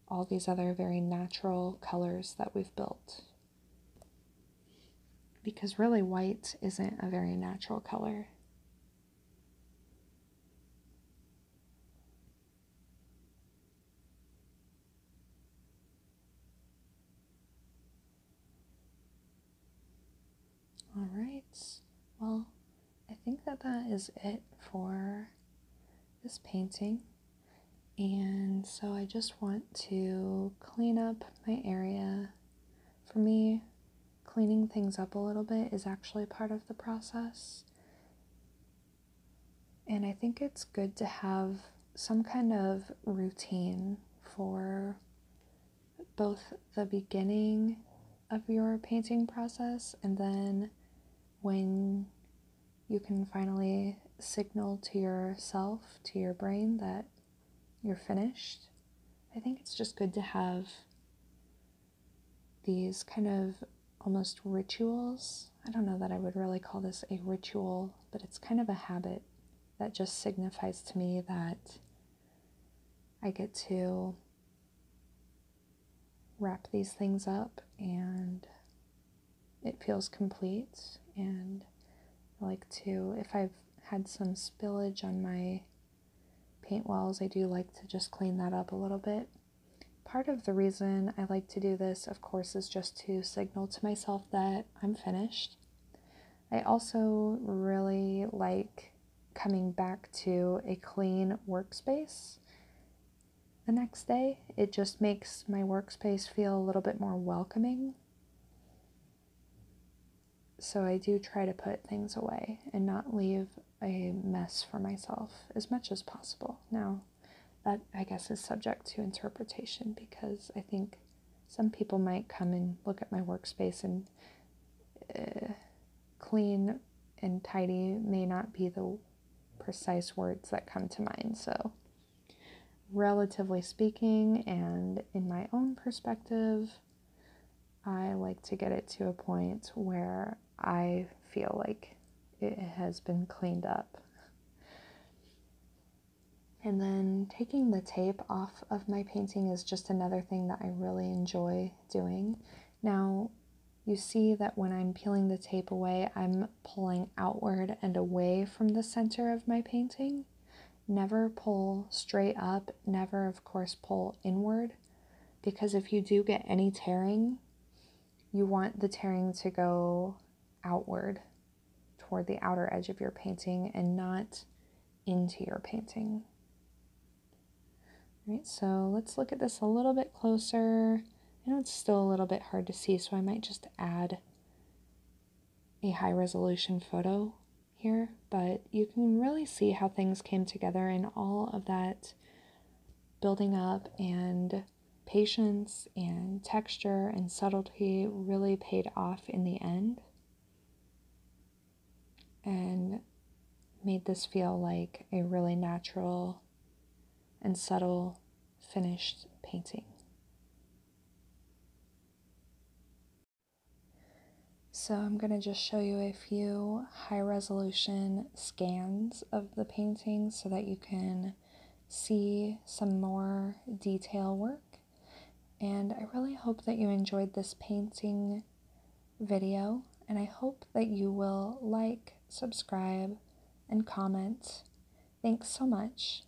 all these other very natural colors that we've built. Because really, white isn't a very natural color. All right. Well, I think that that is it for this painting and so I just want to clean up my area. For me, cleaning things up a little bit is actually part of the process. And I think it's good to have some kind of routine for both the beginning of your painting process and then when you can finally signal to yourself, to your brain, that you're finished, I think it's just good to have these kind of almost rituals. I don't know that I would really call this a ritual, but it's kind of a habit that just signifies to me that I get to wrap these things up and it feels complete. And I like to, if I've had some spillage on my paint walls, I do like to just clean that up a little bit. Part of the reason I like to do this, of course, is just to signal to myself that I'm finished. I also really like coming back to a clean workspace the next day. It just makes my workspace feel a little bit more welcoming. So I do try to put things away and not leave a mess for myself as much as possible. Now, that I guess is subject to interpretation because I think some people might come and look at my workspace and uh, clean and tidy may not be the precise words that come to mind. So Relatively speaking, and in my own perspective, I like to get it to a point where I feel like it has been cleaned up. And then taking the tape off of my painting is just another thing that I really enjoy doing. Now, you see that when I'm peeling the tape away, I'm pulling outward and away from the center of my painting. Never pull straight up, never, of course, pull inward because if you do get any tearing, you want the tearing to go outward toward the outer edge of your painting and not into your painting. All right, so let's look at this a little bit closer. I know it's still a little bit hard to see, so I might just add a high resolution photo here, but you can really see how things came together and all of that building up and patience and texture and subtlety really paid off in the end and made this feel like a really natural and subtle finished painting. So I'm going to just show you a few high resolution scans of the painting so that you can see some more detail work. And I really hope that you enjoyed this painting video and I hope that you will like, subscribe, and comment. Thanks so much.